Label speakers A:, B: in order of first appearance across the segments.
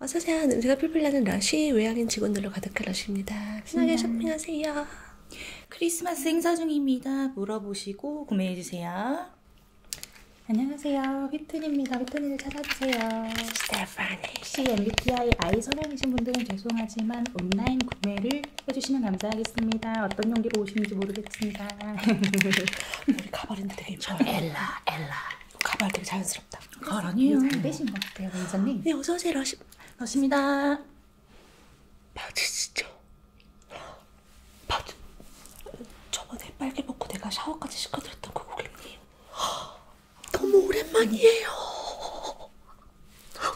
A: 어서오세요. 냄새가 풀풀 나는 러쉬 외향인 직원들로 가득한 러쉬입니다. 신나게 음. 쇼핑하세요. 크리스마스 행사 중입니다. 물어보시고 구매해주세요. 안녕하세요. 휘트니입니다. 휘트니를 찾아주세요. 네. 혹시 MBTI 서명이신 분들은 죄송하지만 온라인 구매를 해주시면 감사하겠습니다. 어떤 용기로 오시는지 모르겠습니다. 우리 가발인데 되게 예뻐 엘라 엘라 가발 되게 자연스럽다. 가발 아니에요. 잘 빼신 것 같아요, 원장님. 네, 어서오세요, 러시, 러시입니다. 맞으시죠? 맞 저번에 빨개 먹고 내가 샤워까지 시켜드렸던 그 고객님. 너무 오랜만이에요.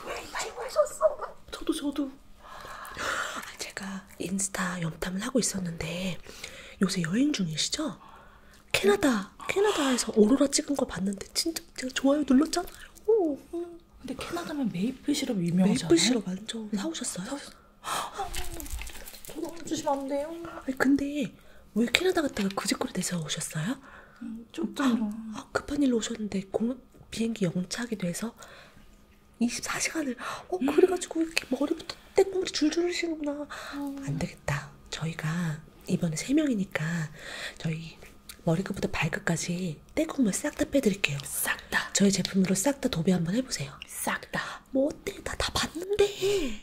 A: 오랜만에 보셨어. 저도 저도. 제가 인스타 염탐을 하고 있었는데 요새 여행 중이시죠? 캐나다 캐나다에서 오로라 찍은 거 봤는데 진짜 제가 좋아요 눌렀잖아요. 근데 캐나다면 메이플 시럽 유명하잖아요. 메이플 시럽 완전 사오셨어요? 사오셨... 저도 주시면 안 돼요. 아니, 근데 아니 왜 캐나다 갔다가 구직구로 그 돼서 오셨어요? 음, 좀 아, 아, 급한 일로 오셨는데 공 비행기 영차하게 돼서 24시간을 어 음. 그래가지고 이렇게 머리부터 떼꼬물이 줄줄 흐시는구나 어. 안되겠다 저희가 이번에 3명이니까 저희 머리끝부터 발끝까지 떼국물 싹 다 빼드릴게요. 싹 다. 저희 제품으로 싹 다 도배 한번 해보세요. 싹 다. 뭐 어때? 나다 봤는데.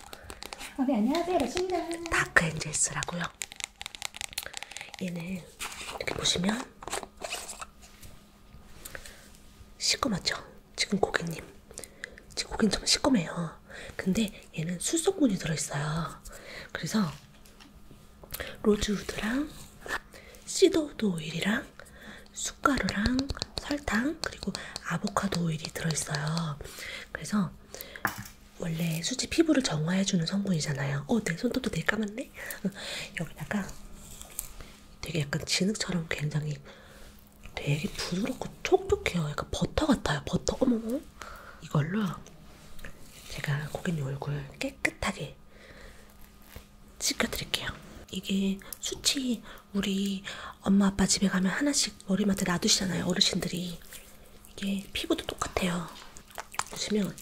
A: 어, 네, 안녕하세요. 러시입니다. 다크 엔젤스라고요. 얘는 이렇게 보시면 시꺼멓죠? 지금 고객님. 지금 고객님 정말 시꺼매요. 근데 얘는 수성분이 들어있어요. 그래서 로즈우드랑 시더우드 오일이랑 숯가루랑 설탕 그리고 아보카도 오일이 들어있어요. 그래서 원래 수지 피부를 정화해주는 성분이잖아요. 어, 내 손톱도 되게 까맣네? 여기다가 되게 약간 진흙처럼 굉장히 되게 부드럽고 촉촉해요. 약간 버터 같아요. 버터. 어머머. 이걸로 제가 고객님 얼굴 깨끗하게 찍어드릴게요. 이게 수치 우리 엄마 아빠 집에 가면 하나씩 하나씩 머리맡에 놔두시잖아요. 어르신들이. 이게 피부도 똑같아요. 보시면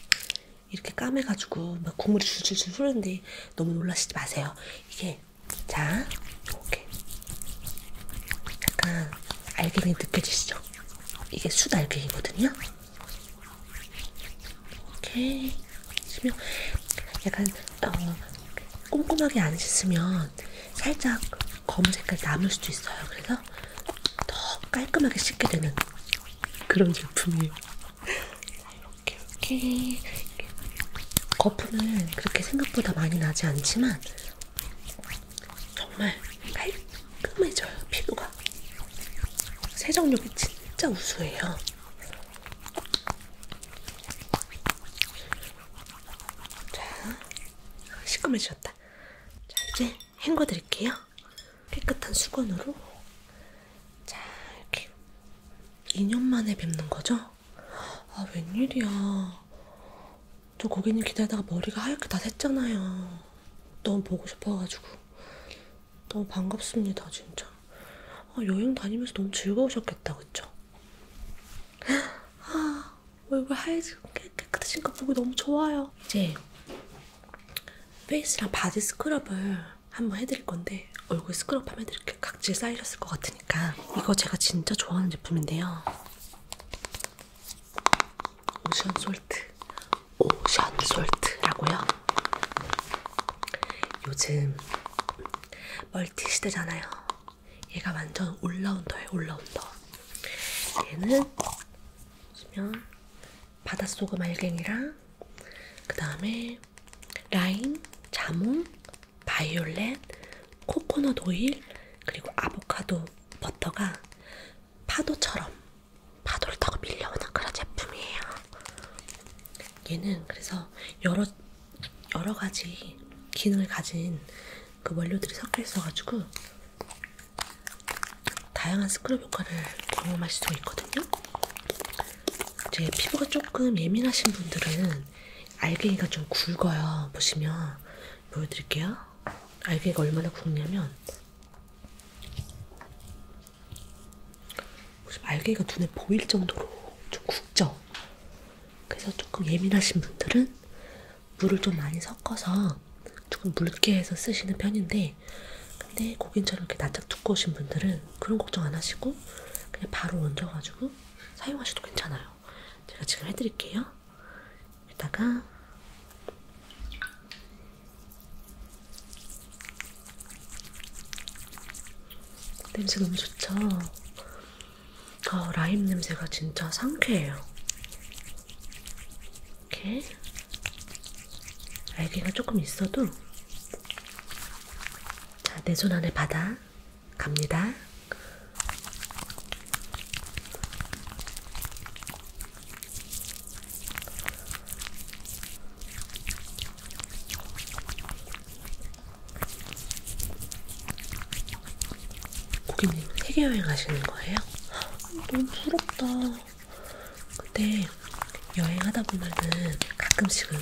A: 이렇게 까매가지고 막 국물이 줄줄줄 흐르는데 너무 놀라시지 마세요. 이게 자, 이렇게 약간 알갱이 느껴지시죠? 이게 수달갱이거든요. 이렇게 보시면 약간 어, 꼼꼼하게 안 씻으면 살짝 검은 색깔이 남을 수도 있어요. 그래서 더 깔끔하게 씻게 되는 그런 제품이에요. 이렇게 이렇게 거품은 그렇게 생각보다 많이 나지 않지만 정말 깔끔해져요 피부가. 세정력이 진짜 우수해요. 자, 시커매졌다. 자, 이제 헹궈 드릴게요. 깨끗한 수건으로. 자, 이렇게. 2년 만에 뵙는 거죠? 아, 웬일이야. 저 고객님 기다리다가 머리가 하얗게 다 샜잖아요. 너무 보고 싶어가지고. 너무 반갑습니다, 진짜. 아, 여행 다니면서 너무 즐거우셨겠다, 그쵸? 아, 얼굴 하얘지고 깨끗해진 거 보고 너무 좋아요. 이제 페이스랑 바디 스크럽을 한번 해드릴 건데 얼굴 스크럽 하면 이렇게 각질 쌓이셨을 것 같으니까 이거 제가 진짜 좋아하는 제품인데요. 오션 솔트, 오션 솔트라고요. 요즘 멀티 시대잖아요. 얘가 완전 올라운더예요. 올라운더. 얘는 보시면 바닷소금 알갱이랑 그 다음에 라임, 자몽, 바이올렛, 코코넛 오일 그리고 아보카도 버터가 파도처럼 파도를 타고 밀려오는 그런 제품이에요. 얘는 그래서 여러 여러 가지 기능을 가진 그 원료들이 섞여 있어가지고 다양한 스크럽 효과를 경험할 수도 있거든요. 제 피부가 조금 예민하신 분들은 알갱이가 좀 굵어요. 보시면 보여드릴게요. 알갱이가 얼마나 굵냐면 알갱이가 눈에 보일 정도로 좀 굵죠. 그래서 조금 예민하신 분들은 물을 좀 많이 섞어서 조금 묽게 해서 쓰시는 편인데 근데 고긴처럼 이렇게 납작 두꺼우신 분들은 그런 걱정 안 하시고 그냥 바로 얹어가지고 사용하셔도 괜찮아요. 제가 지금 해드릴게요. 여기다가 냄새 너무 좋죠? 어, 라임 냄새가 진짜 상쾌해요. 이렇게 알갱이가 조금 있어도 자, 내 손 안에 받아 갑니다. 고객님 세계 여행 하시는 거예요? 너무 부럽다. 근데 여행하다 보면은 가끔씩은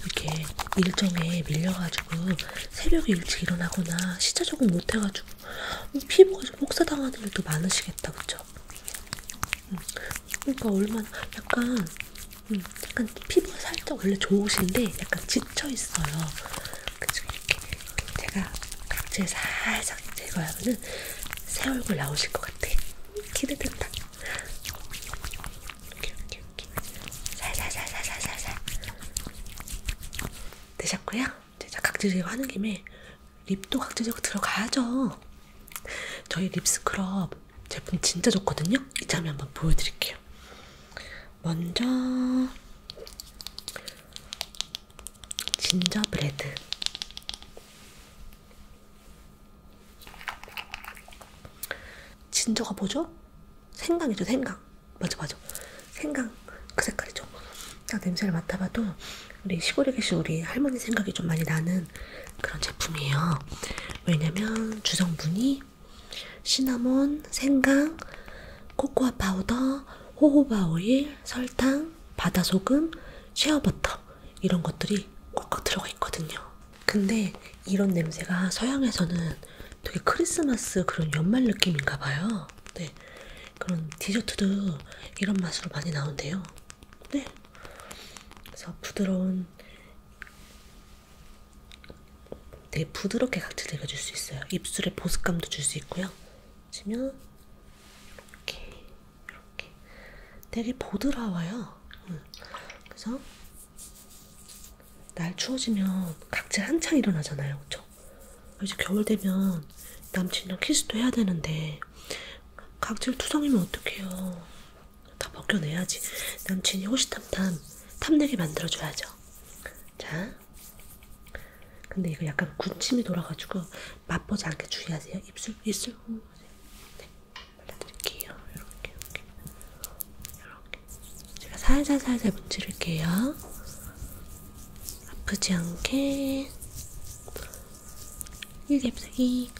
A: 이렇게 일정에 밀려가지고 새벽에 일찍 일어나거나 시차 적응 못해가지고 피부가 좀 혹사당하는 일도 많으시겠다, 그쵸? 음, 그러니까 얼마나 약간 음, 약간 피부가 살짝 원래 좋으신데 약간 지쳐 있어요. 그래서 이렇게 제가 각질 살짝 제거하면은 새 얼굴 나오실 것 같아. 기대된다. 이렇게 이렇게 이렇게 살살살살살살살 되셨고요. 제가 각질 제거하는 김에 립도 각질 제거 들어가죠. 저희 립스크럽 제품 진짜 좋거든요. 이참에 한번 보여드릴게요. 먼저 진저브레드 진저가 뭐죠? 생강이죠 생강 맞아 맞아 생강 그 색깔이죠 딱 냄새를 맡아봐도 우리 시골에 계신 우리 할머니 생각이 좀 많이 나는 그런 제품이에요 왜냐면 주성분이 시나몬, 생강, 코코아 파우더, 호호바 오일, 설탕, 바다소금, 쉐어버터 이런 것들이 꽉꽉 들어가 있거든요. 근데 이런 냄새가 서양에서는 되게 크리스마스 그런 연말 느낌인가 봐요. 네. 그런 디저트도 이런 맛으로 많이 나온대요. 네. 그래서 부드러운 되게 부드럽게 각질 내가 줄수 있어요. 입술에 보습감도 줄 수 있고요. 치면 이렇게 이렇게 되게 보드라워요. 응. 그래서 날 추워지면 각질 한창 일어나잖아요, 그렇죠? 이제 겨울 되면 남친이랑 키스도 해야 되는데 각질 투성이면 어떡해요? 다 벗겨내야지. 남친이 호시탐탐 탐내게 만들어줘야죠. 자, 근데 이거 약간 군침이 돌아가지고 맛보지 않게 주의하세요. 입술, 입술. 음, 네. 네, 발라드릴게요. 이렇게, 이렇게, 이렇게. 제가 살살 살살 문지를게요. 아프지 않게. 1렙2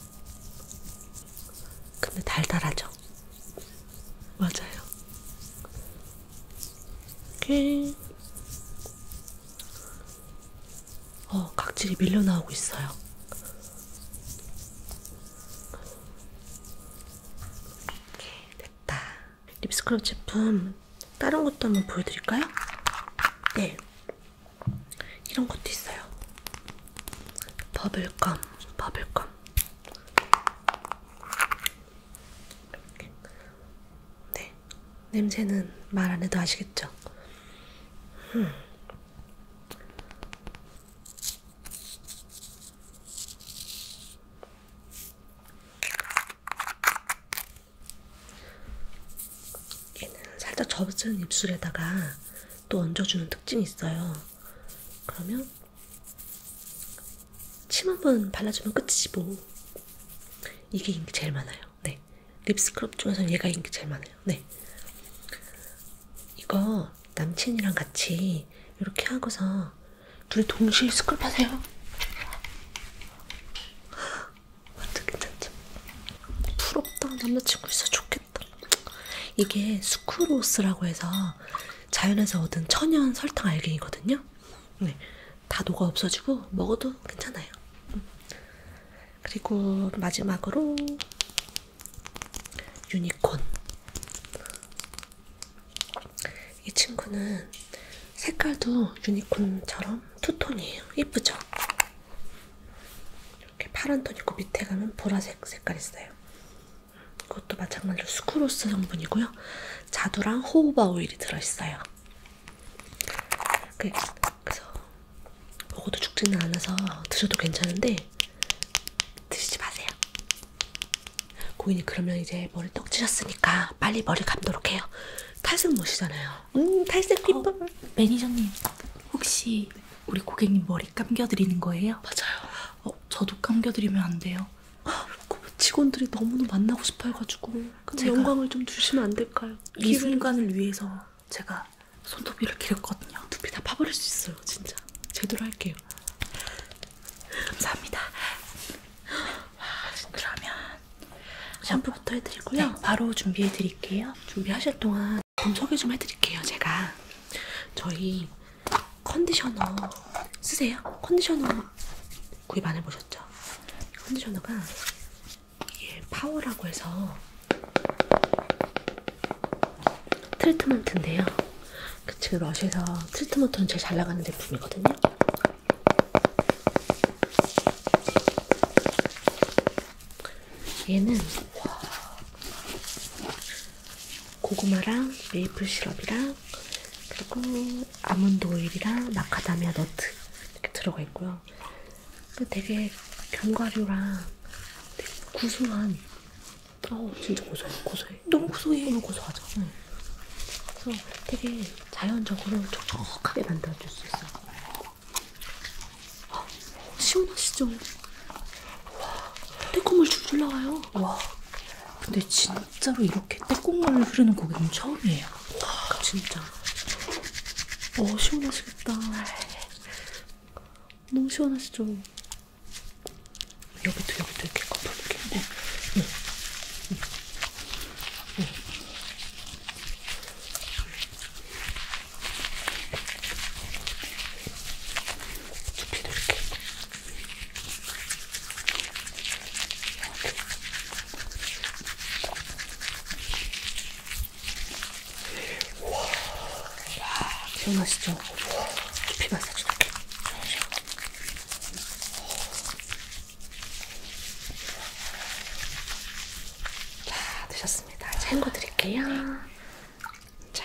A: 근데 달달하죠? 맞아요. 이렇게 어, 각질이 밀려 나오고 있어요. 이렇게 됐다. 립스크럽 제품 다른 것도 한번 보여드릴까요? 네. 이런 것도 있어요. 버블껌, 버블껌. 이렇게 네, 냄새는 말 안 해도 아시겠죠? 음. 얘는 살짝 접은 입술에다가 또 얹어주는 특징이 있어요. 그러면 침 한번 발라주면 끝이지 뭐. 이게 인기 제일 많아요. 네. 립스크럽 중에서는 얘가 인기 제일 많아요. 네. 이거 남친이랑 같이 이렇게 하고서 둘이 동시에 스크럽 하세요. 완전 괜찮죠? 부럽다. 남자친구 있어 좋겠다. 이게 스크로스라고 해서 자연에서 얻은 천연 설탕 알갱이거든요. 네. 다 녹아 없어지고 먹어도 괜찮아요. 그리고 마지막으로 유니콘. 이 친구는 색깔도 유니콘처럼 투톤이에요. 예쁘죠? 이렇게 파란 톤 있고 밑에 가면 보라색 색깔 있어요. 이것도 마찬가지로 스크로스 성분이고요. 자두랑 호우바 오일이 들어있어요. 그, 그래서 먹어도 죽지는 않아서 드셔도 괜찮은데 드시지 마세요. 고인이 그러면 이제 머리 떡지셨으니까 빨리 머리 감도록 해요. 탈색 못이잖아요. 음, 탈색 비법. 어, 매니저님, 혹시 우리 고객님 머리 감겨드리는 거예요? 맞아요. 어, 저도 감겨드리면 안 돼요. 그 직원들이 너무너무 만나고 싶어 해가지고. 제가 영광을 좀 주시면 안 될까요? 이 순간을 위해서 제가 손톱이를 기렸거든요. 두피 다 파버릴 수 있어요, 진짜. 제대로 할게요. 감사합니다. 와, 그러면 샴푸부터 해드리고요. 네, 바로 준비해드릴게요. 준비하실 동안 좀 소개 좀 해드릴게요, 제가. 저희 컨디셔너 쓰세요? 컨디셔너 구입 안 해보셨죠? 컨디셔너가 이게 파워라고 해서 트리트먼트인데요. 그 지금 러쉬에서 트리트먼트는 제일 잘 나가는 제품이거든요. 얘는 와, 고구마랑 메이플 시럽이랑 그리고 아몬드 오일이랑 마카다미아 너트 이렇게 들어가 있고요. 되게 견과류랑 되게 구수한, 어 진짜 고소해, 고소해. 너무 고소해. 너무 고소하죠. 응. 네. 그래서 되게 자연적으로 촉촉하게 만들어줄 수 있어. 어, 시원하시죠? 와, 떼국물 줄줄 나와요. 와, 근데 진짜로 이렇게 떼국물을 흐르는 고기는 처음이에요. 거예요. 와, 진짜. 어, 시원하시겠다. 너무 시원하시죠? 여기도, 여기도 이렇게 걷어볼게요. 네. 네. 네. 네. 두피도 이렇게. 이렇게. 와, 기억나시죠? 깊이 마사지 게 자, 드셨습니다. 챙거 드릴게요. 자.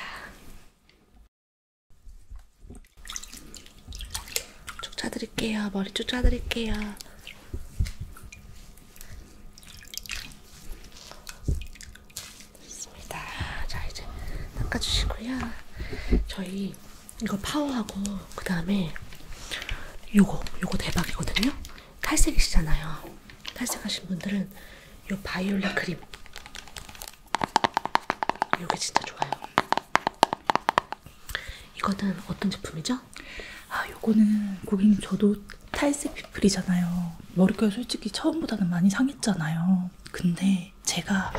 A: 쫓아드릴게요. 머리 쫓아드릴게요. 좋습니다. 자 이제 닦아주시고요. 저희 이거 파워하고 그 다음에 요거 요거 대박이거든요. 탈색이시잖아요. 탈색하신 분들은 요 바이올렛 크림 요게 진짜 좋아요. 이거는 어떤 제품이죠? 아, 요거는 고객님 저도 탈색 피플이잖아요. 머릿결 솔직히 처음보다는 많이 상했잖아요. 근데 제가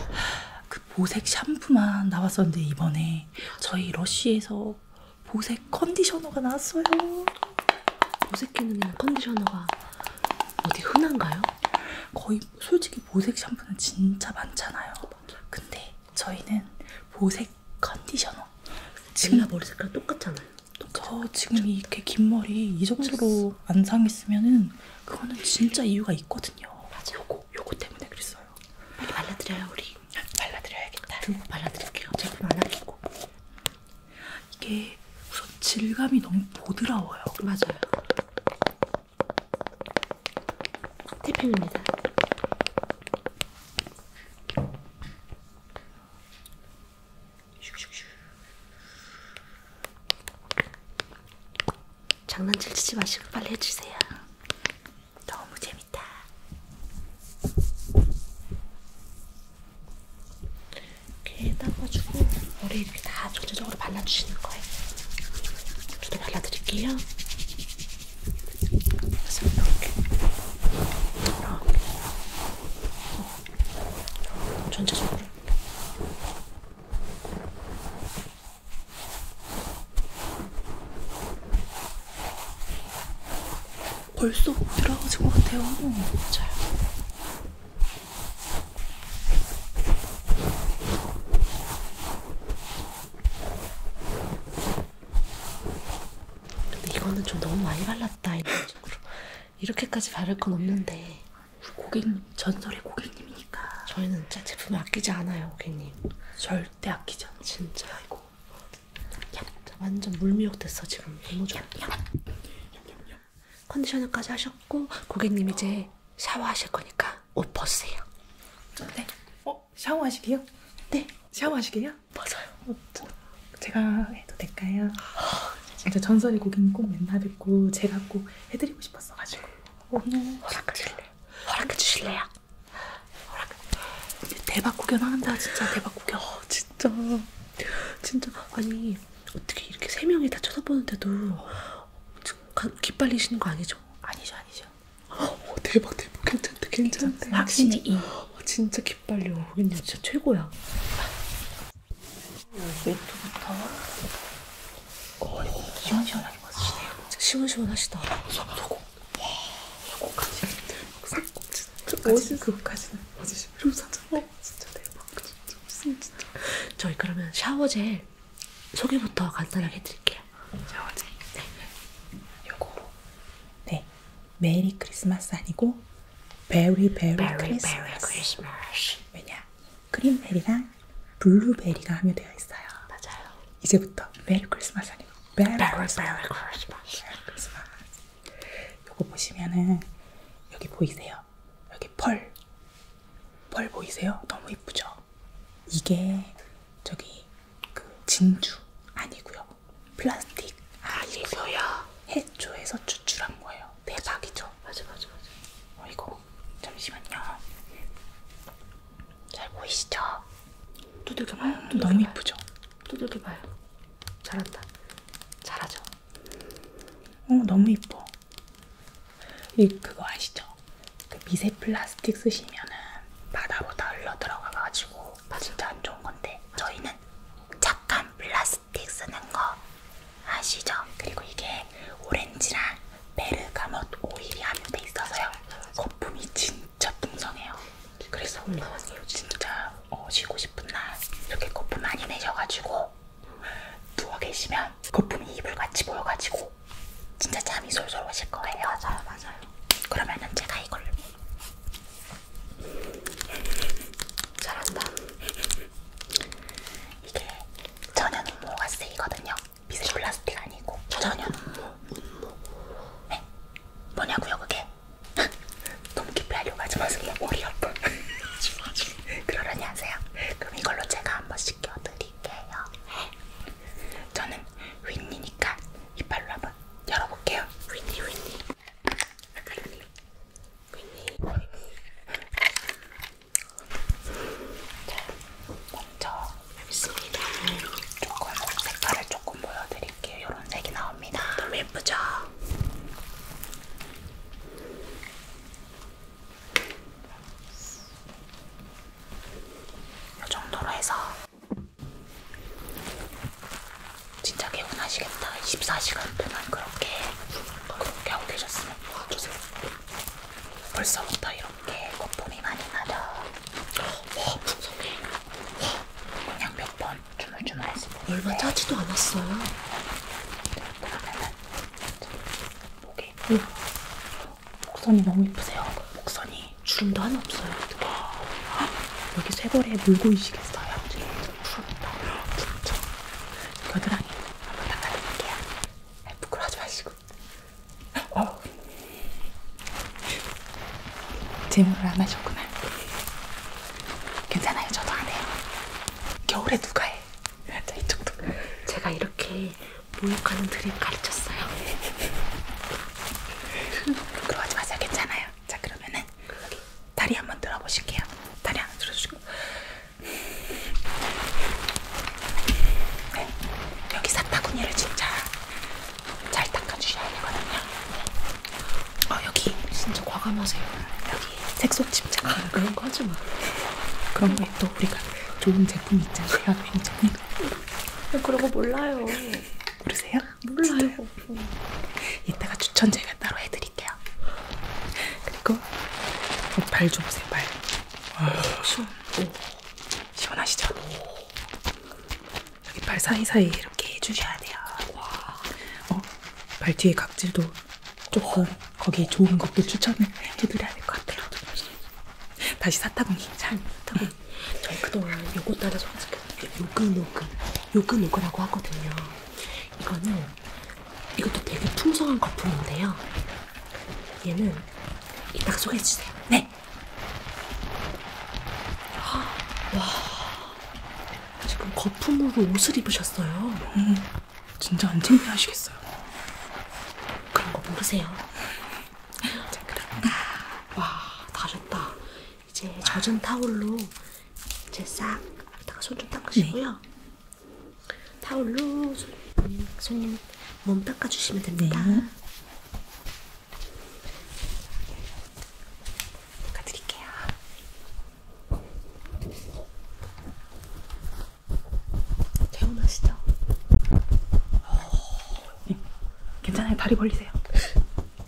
A: 그 보색 샴푸만 나왔었는데 이번에 저희 러쉬에서 보색 컨디셔너가 나왔어요. 보색 기능이나 컨디셔너가 어디 흔한가요? 거의 솔직히 보색 샴푸는 진짜 많잖아요. 근데 저희는 보색 컨디셔너. 지금 머리 색깔 똑같잖아요. 똑같아요. 저 지금 이렇게 긴 머리 이 정도로 안 상했으면은 그거는 진짜 이유가 있거든요. 맞아. 요거 요거 때문에 그랬어요. 빨리 발라드려요 우리. 발라드려야겠다. 두고 발라드릴게요. 제품 안 아끼고. 이게 우선 질감이 너무 보드라워요. 맞아요. 티핀입니다. 장난질 치지 마시고 빨리 해주세요. 너무 재밌다. 이렇게 담아주고 머리 이렇게 다 전체적으로 발라주시는 거예요. 저도 발라드릴게요. 그래서 이렇게 이렇게 전체적으로 벌써 들어가진 것 같아요. 잘. 근데 이거는 좀 너무 많이 발랐다 이런 식으로 이렇게까지 바를 건 없는데 고객님 전설의 고객님이니까 저희는 진짜 제품 아끼지 않아요 고객님 절대 아끼지 않아 진짜 이거 완전 물미역 됐어 지금 너무 좋아 컨디셔너까지 하셨고 고객님 이제 샤워하실 거니까 옷 벗으세요 네? 어? 어? 샤워하시게요? 네. 샤워하시게요? 맞아요. 저, 제가 해도 될까요? 진짜 전설의 고객님 꼭 맨날 뵙고 제가 꼭 해드리고 싶었어가지고 오늘 어, 허락해주실래요? 허락해주실래요? 허락. 대박 구경한다 진짜 대박 구경. 어, 진짜 진짜 아니 어떻게 이렇게 세 명이 다 쳐다보는데도 지금 기빨리시는 거 아니죠? 아니죠 아니죠. 어, 대박 대박 괜찮다 괜찮다. 확실히 이. 어, 진짜 이렇게 빨리 오겠냐 진짜 최고야 여기부터 어, 시원시원하게 벗으시네요 시원시원하시다 소고 와 소고까지 끝까지 그거까지는 벗으시면 효사잖아요 진짜 대박 진짜 무슨 진짜 저희 그러면 샤워젤 소개부터 간단하게 해드릴게요 샤워젤 네. 네 요거 네 메리 크리스마스 아니고 베리 베리 크리스마스 왜냐? 크림베리랑 블루베리가 함유되어 있어요 맞아요 이제부터 메리 크리스마스 아니고 베리 크리스마스 요거 보시면은 여기 보이세요? 여기 펄 펄 보이세요? 너무 이쁘죠? 이게 저기 그 진주 아니고요. 플라스틱 아니고요. 해초에서 추출한 거예요. 대박이죠. 맞아 맞아 맞아. 어 이거 잠시만요. 잘 보이시죠? 두들겨봐요. 음, 두들겨봐요. 너무 이쁘죠? 두들겨봐요. 잘한다. 잘하죠. 어 너무 이뻐. 이 그거 아시죠? 그 미세 플라스틱 쓰시면은 바다로 다 흘러 들어가가지고 맞아. 진짜 안 좋은 건데 맞아. 저희는 착한 플라스틱 쓰는 거 아시죠? 그리고 이게 오렌지랑 베르가못 오일이 안돼 있어서요. 거품이 진짜 풍성해요. 그래서 진짜 어, 쉬고 싶은 날 이렇게 거품 많이 내셔가지고 누워 계시면 거품이 이불같이 보여가지고 진짜 잠이 솔솔 오실 거예요. 맞아요, 맞아요. 그러면은 제가 이걸 잘한다. 이게 천연 운모가 쓰이거든요. 미세 플라스틱 아니고 천연 운모. 네. 뭐냐고요 그게? 너무 깊이 하려고 하지 마세요. 머리 아파. 그러려니 하세요. 그럼 이걸로 제가 한번 씻겨드릴게요. 네. 저는 윈니니까 이빨로 한번 열어볼게요. 윈니 윈니. 자, 있습니다. 조금 색깔을 조금 보여드릴게요. 이런 색이 나옵니다. 너무 예쁘죠? 이 정도로 해서 진짜 개운하시겠다. 24시간 동안 그렇게 그렇게 하고 계셨으면 주세요. 벌써부터 이렇게 거품이 많이 나죠. 와 풍성해. 그냥 몇 번 주물주물해서 얼마 짜지도 않았어요. 그러면은 목에 목선이 너무 이쁘세요. 목선이 주름도 하나 없어요. 여기 쇠고리에 물고 있시겠어요 부럽다. 부럽죠? 겨드랑이 한번 닦아드릴게요. 부끄러워하지 마시고. 어. 질문을 안 하셨구나. 괜찮아요. 저도 안 해요. 겨울에 누가 해? 자, 이쪽도. 제가 이렇게 모욕하는 드립 가르쳤어요. 부끄러워하지 마세요. 괜찮아요. 자, 그러면은. 다리 한 번 들어보실게요. 다리 하나 들어주시고. 네. 여기 사타구니를 진짜 잘 닦아주셔야 되거든요. 어, 여기. 진짜 과감하세요. 여기 색소 침착. 아, 그런 거 하지 마. 그런 거또 우리가 좋은 제품 있잖아요. 그런 거 몰라요. 모르세요? 몰라요. 진짜요? 이따가 추천 제가 따로 해드릴게요. 그리고 발좀 보세요. 발. 시원. 시원하시죠? 여기 발 사이사이 이렇게 해주셔야 돼요. 와. 어? 발 뒤에 각질도 조금 거기 좋은 것도 추천을 해드려야 될 것 같아요. 다시 사타구니. 잘. 사타구니. 저희 그동안 요거 따라서 한습 요근요근 요근요근라고 하거든요. 이거는 이것도 되게 풍성한 거품인데요. 얘는 이따가 소개해 주세요. 네. 아, 와 지금 거품으로 옷을 입으셨어요. 음, 진짜 안 창피하시겠어요. 그런 거 모르세요. 자 그럼 와 다르다. 이제 젖은 타올로 이제 싹 이따가 손좀 닦으시고요. 네. 타올로 손님, 손님 몸 닦아주시면 됩니다. 네. 닦아드릴게요. 개운하시죠? 어, 네. 괜찮아요. 다리 벌리세요.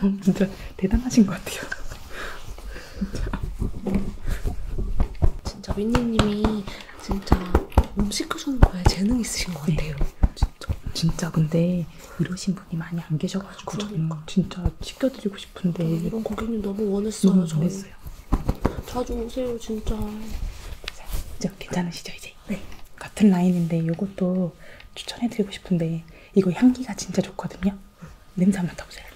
A: 진짜 대단하신 것 같아요. 진짜, 진짜 윈니님이 진짜 음식 하시는 거에 재능 있으신 것 네. 같아요. 네. 진짜 진짜 근데 이러신 분이 많이 안 계셔가지고 그러니까. 진짜 시켜드리고 싶은데 이런 고객님 너무 원했어요. 너무 원했어요. 자주 오세요 진짜. 진짜 괜찮으시죠 이제? 네. 같은 라인인데 이것도 추천해드리고 싶은데 이거 향기가 진짜 좋거든요. 냄새 한번 맡아보세요.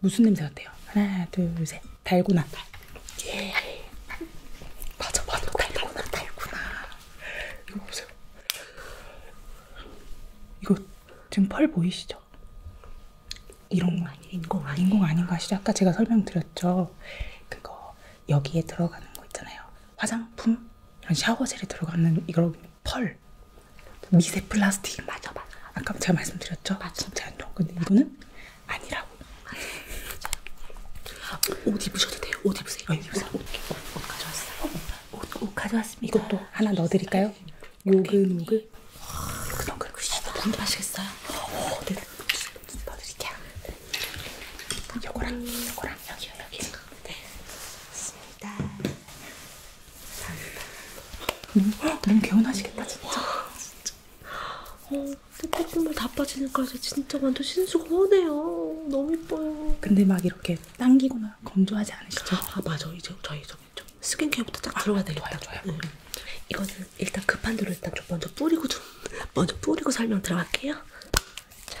A: 무슨 냄새 같아요? 하나, 둘, 셋. 달고나. 달. 예. 맞아, 맞아. 달고나, 달고나. 이거 보세요. 이거 지금 펄 보이시죠? 이런 거 아니에요? 인공 아닌 인공 아닌 거 아시죠? 아까 제가 설명드렸죠. 그거 여기에 들어가는 거 있잖아요. 화장품 이런 샤워젤이 들어가는 이걸 펄 미세 플라스틱 맞아 맞아 아까 제가 말씀드렸죠? 맞아 진짜 안 좋은 근데 이거는 아니라고 맞아. 옷 입으셔도 돼요 옷 입으세요 어, 옷, 입으세요. 옷, 옷, 옷 가져왔어요 어, 옷, 옷 가져왔습니다 이것도 하나 넣어드릴까요? 요글요글 요글요글 물 마시겠어요? 어, 네. 네 넣어드릴게요 요거랑 요거랑 여기요 여기 네, 좋습니다. 감사합니다. 음, 너무 개운하시겠다, 진짜. 와, 진짜. 어, 뜨뜻물 다 빠지니까 진짜 완전 신수가 허네요. 너무 이뻐요. 근데 막 이렇게 당기거나 건조하지 않으시죠? 아, 맞아. 이제 저희 저기 좀 스킨케어부터 딱 아, 들어가야 되겠다. 좋아요, 좋아요. 응. 음. 이거는 일단 급한 대로 일단 좀 먼저 뿌리고 좀 먼저 뿌리고 설명 들어갈게요. 자.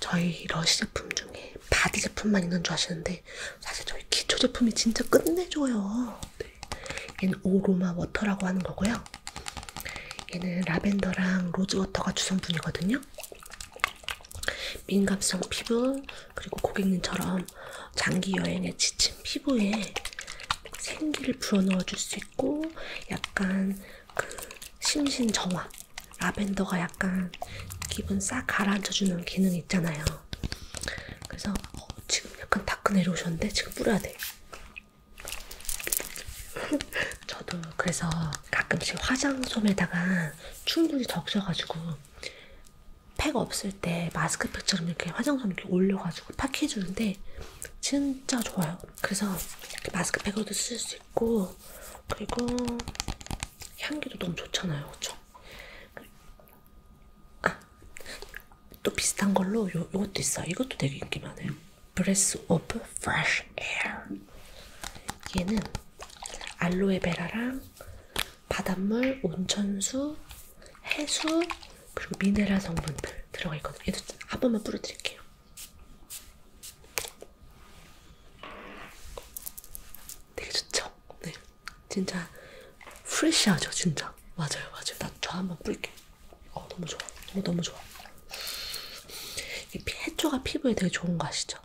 A: 저희 러시 제품 중에 바디 제품만 있는 줄 아시는데 사실 저희 기초 제품이 진짜 끝내줘요. 네. 얘는 오로마 워터라고 하는 거고요. 얘는 라벤더랑 로즈워터가 주성분이거든요. 민감성 피부 그리고 고객님처럼 장기 여행에 지친 피부에 생기를 불어넣어 줄 수 있고 약간 그 심신 정화 라벤더가 약간 기분 싹 가라앉혀주는 기능 있잖아요. 그래서 어, 지금 약간 다크 내려오셨는데 지금 뿌려야 돼. 저도 그래서 가끔씩 화장솜에다가 충분히 적셔가지고 팩 없을 때 마스크팩처럼 이렇게 화장솜 이렇게 올려가지고 팍 해주는데 진짜 좋아요. 그래서 마스크팩으로도 쓸수 맛있고 그리고 향기도 너무 좋잖아요, 그렇죠? 아, 또 비슷한 걸로 요 요것도 있어요. 이것도 되게 인기 많아요. 브레스 오브 프레쉬 에어. 얘는 알로에베라랑 바닷물, 온천수, 해수 그리고 미네랄 성분들 들어가 있거든요. 얘도 한 번만 뿌려드릴게요. 되게 좋죠? 네. 진짜 프레시하죠, 진짜. 맞아요, 맞아요. 나 저 한번 뿌릴게. 어, 너무 좋아. 너무, 어, 너무 좋아. 이 해초가 피부에 되게 좋은 거 아시죠?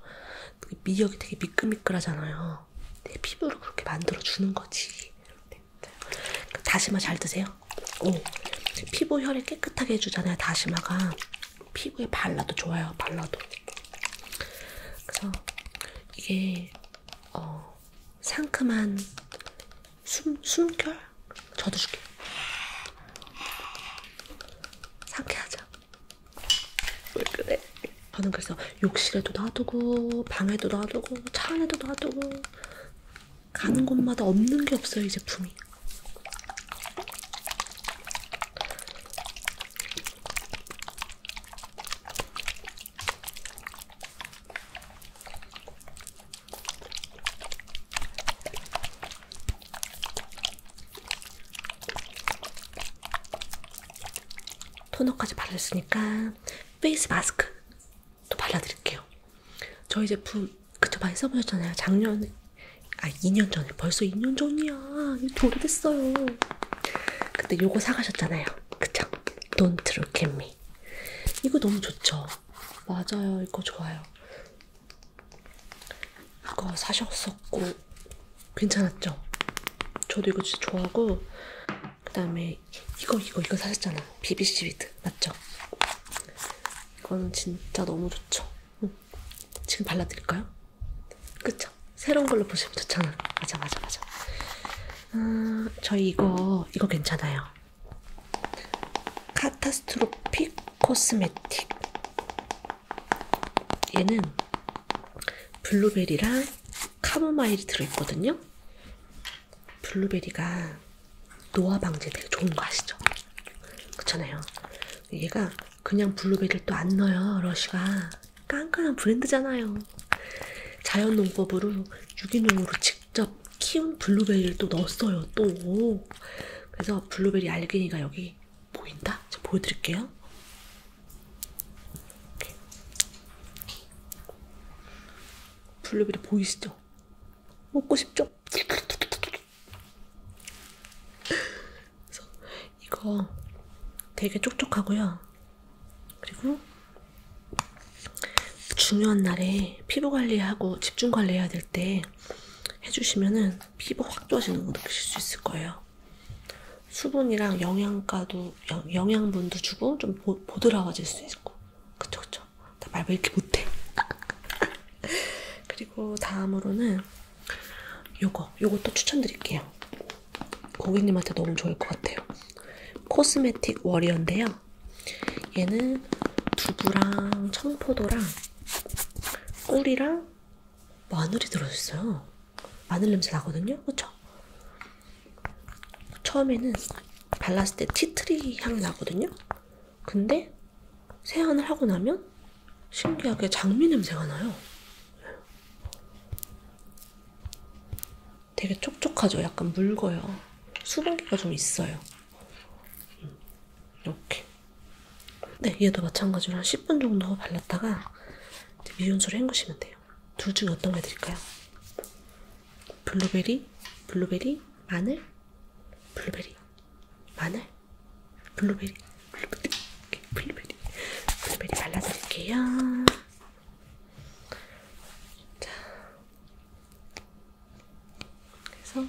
A: 그 미역이 되게 미끌미끌하잖아요. 내 피부를 그렇게 만들어주는 거지. 네. 그 다시마 잘 드세요? 오. 피부 혈을 깨끗하게 해주잖아요, 다시마가. 피부에 발라도 좋아요. 발라도. 그래서 이게 어, 상큼한 숨 숨결 저도 줄게요. 상쾌하죠? 왜 그래? 저는 그래서 욕실에도 놔두고 방에도 놔두고 차 안에도 놔두고 가는 곳마다 없는 게 없어요 이 제품이 토너까지 발랐으니까 페이스 마스크 또 발라드릴게요. 저희 제품 그쵸 많이 써보셨잖아요. 작년에 아 2년 전에 벌써 2년 전이야. 이거 오래됐어요. 근데 요거 사가셨잖아요. 그쵸? Don't look at me. 이거 너무 좋죠? 맞아요. 이거 좋아요. 이거 사셨었고 괜찮았죠? 저도 이거 진짜 좋아하고 그 다음에 이거 이거 이거 사셨잖아. BBC 위드 맞죠? 이거는 진짜 너무 좋죠? 응. 지금 발라드릴까요? 그쵸? 새로운 걸로 보시면 좋잖아. 맞아, 맞아, 맞아. 음, 아, 저희 이거, 이거 괜찮아요. 카타스트로픽 코스메틱. 얘는 블루베리랑 카모마일이 들어있거든요. 블루베리가 노화 방지 되게 좋은 거 아시죠? 그렇잖아요. 얘가 그냥 블루베리를 또 안 넣어요. 러쉬가 깐깐한 브랜드잖아요. 자연 농법으로 유기농으로 직접 키운 블루베리를 또 넣었어요. 또 그래서 블루베리 알갱이가 여기 보인다. 제가 보여드릴게요. 블루베리 보이시죠? 먹고 싶죠? 그래서 이거 되게 촉촉하고요. 그리고 중요한 날에 피부 관리하고 집중 관리해야 될 때 해주시면은 피부 확 좋아지는 거 느끼실 수 있을 거예요. 수분이랑 영양가도 영양분도 주고 좀 보, 보드라워질 수 있고, 그쵸 그쵸. 나 말 왜 이렇게 못해? 그리고 다음으로는 요거, 요것도 추천드릴게요. 고객님한테 너무 좋을 것 같아요. 코스메틱 워리어인데요. 얘는 두부랑 청포도랑 꿀이랑 마늘이 들어있어요. 마늘 냄새 나거든요. 그쵸? 처음에는 발랐을 때 티트리 향이 나거든요. 근데 세안을 하고 나면 신기하게 장미 냄새가 나요. 되게 촉촉하죠? 약간 묽어요. 수분기가 좀 있어요. 이렇게. 네, 얘도 마찬가지로 한 10분 정도 발랐다가 미온수로 헹구시면 돼요. 둘 중에 어떤 거 드릴까요? 블루베리, 블루베리, 마늘, 블루베리, 마늘. 블루베리, 블루베리, 블루베리, 블루베리 발라드릴게요. 자, 그래서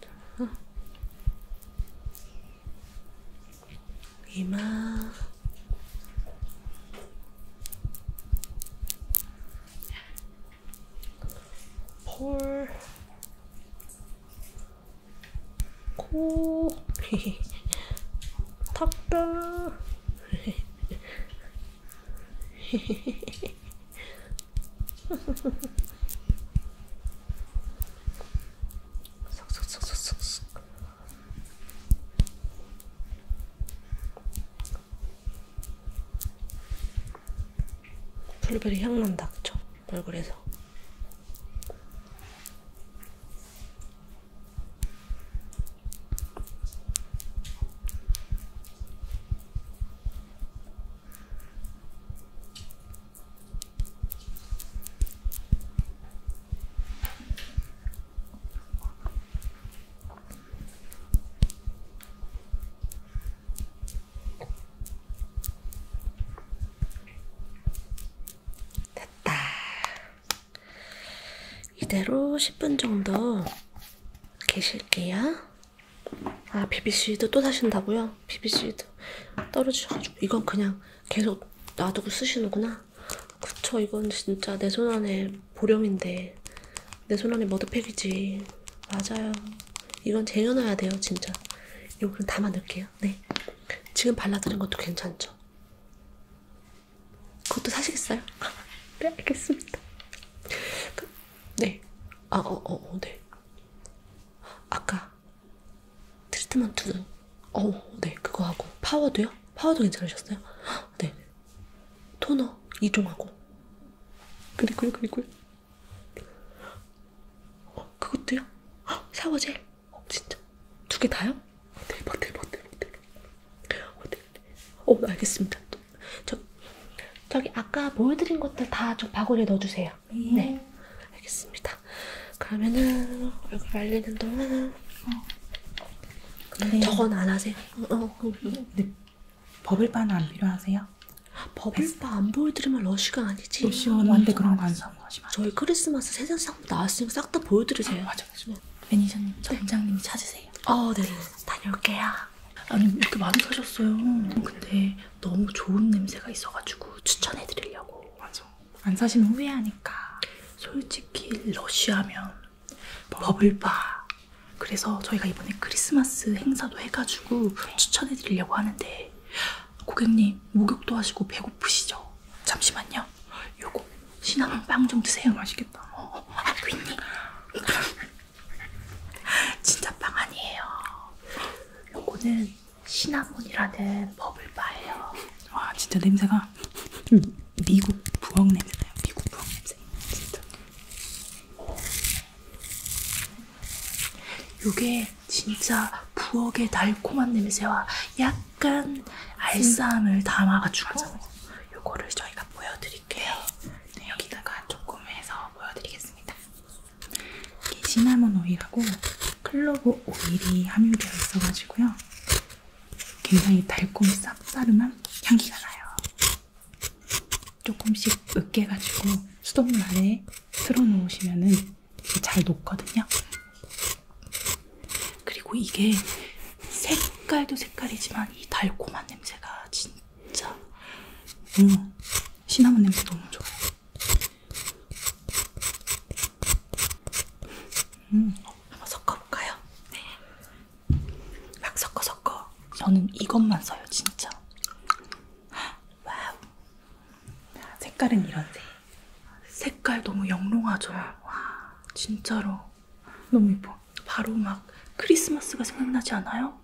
A: 자, 이마. 폴 코, 턱도, 쏙쏙쏙쏙쏙. 블루베리 향 난다, 그쵸? 얼굴에서 됐다. 이대로 10분 정도 계실게요. 아, BBC도 또 사신다고요? BBC도 떨어지셔가지고. 이건 그냥 계속 놔두고 쓰시는구나. 그쵸, 이건 진짜 내 손 안에 보령인데. 내 손 안에 머드팩이지. 맞아요. 이건 쟁여놔야 돼요, 진짜. 이건 담아넣을게요. 드릴게요. 네. 지금 발라드는 것도 괜찮죠? 그것도 사시겠어요? 네, 알겠습니다. 네. 아, 어, 어, 어 네. 아까 트리트먼트는, 어, 네. 그거 하고. 파워도요? 파워도 괜찮으셨어요? 네. 토너 2종하고. 그리고요, 그리고요. 어, 그것도요? 어, 샤워젤? 어, 진짜? 두 개 다요? 어, 대박, 대박, 대박, 대박. 어, 네, 네. 어 알겠습니다. 저, 저기 아까 보여드린 것들 다 저 바구니에 넣어주세요. 네. 네. 알겠습니다. 그러면은 얼굴 말리는 동안 어. 저건 안 하세요? 어, 어. 어. 네. 버블바는 안 필요하세요? 버블바 안 보여드리면 러쉬가 아니지. 러쉬 오는데 그런 거안 사. 사모하지 마세요. 저희 크리스마스 세 장씩 나왔으니까 싹다 보여드리세요. 아, 맞아, 맞아. 네. 매니저님, 네. 점장님이 찾으세요. 아, 네, 네. 다녀올게요. 아니, 이렇게 많이 사셨어요. 근데 너무 좋은 냄새가 있어가지고 추천해드리려고. 맞아. 안 사시면 후회하니까. 솔직히 러쉬하면 버블바. 그래서 저희가 이번에 크리스마스 행사도 해가지고 추천해드리려고 하는데 고객님 목욕도 하시고 배고프시죠? 잠시만요. 요거 시나몬 빵 좀 드세요. 맛있겠다. 어, 어 아, 괜히. 진짜 빵 아니에요. 요거는 시나몬이라는 버블바예요. 와, 진짜 냄새가 음, 미국 부엌 냄새나요. 미국 부엌 냄새. 진짜. 요게 진짜 부엌의 달콤한 냄새와 약간 알싸함을 담아가지고 어. 요거를 저희가 보여드릴게요. 네, 여기다가 조금 해서 보여드리겠습니다. 이게 시나몬 오일하고 클로브 오일이 함유되어 있어가지고요. 굉장히 달콤 쌉싸름한 향기가 나요. 조금씩 으깨가지고 수돗물 아래에 틀어놓으시면은 잘 녹거든요. 그리고 이게 색깔도 색깔이지만 이 달콤한 냄새가 진짜 음, 시나몬 냄새 너무 좋아요. 음, 한번 섞어볼까요? 네. 막 섞어 섞어. 저는 이것만 써요, 진짜. 와우. 색깔은 이런데. 색깔 너무 영롱하죠. 와 진짜로 너무 예뻐. 바로 막 크리스마스가 생각나지 않아요?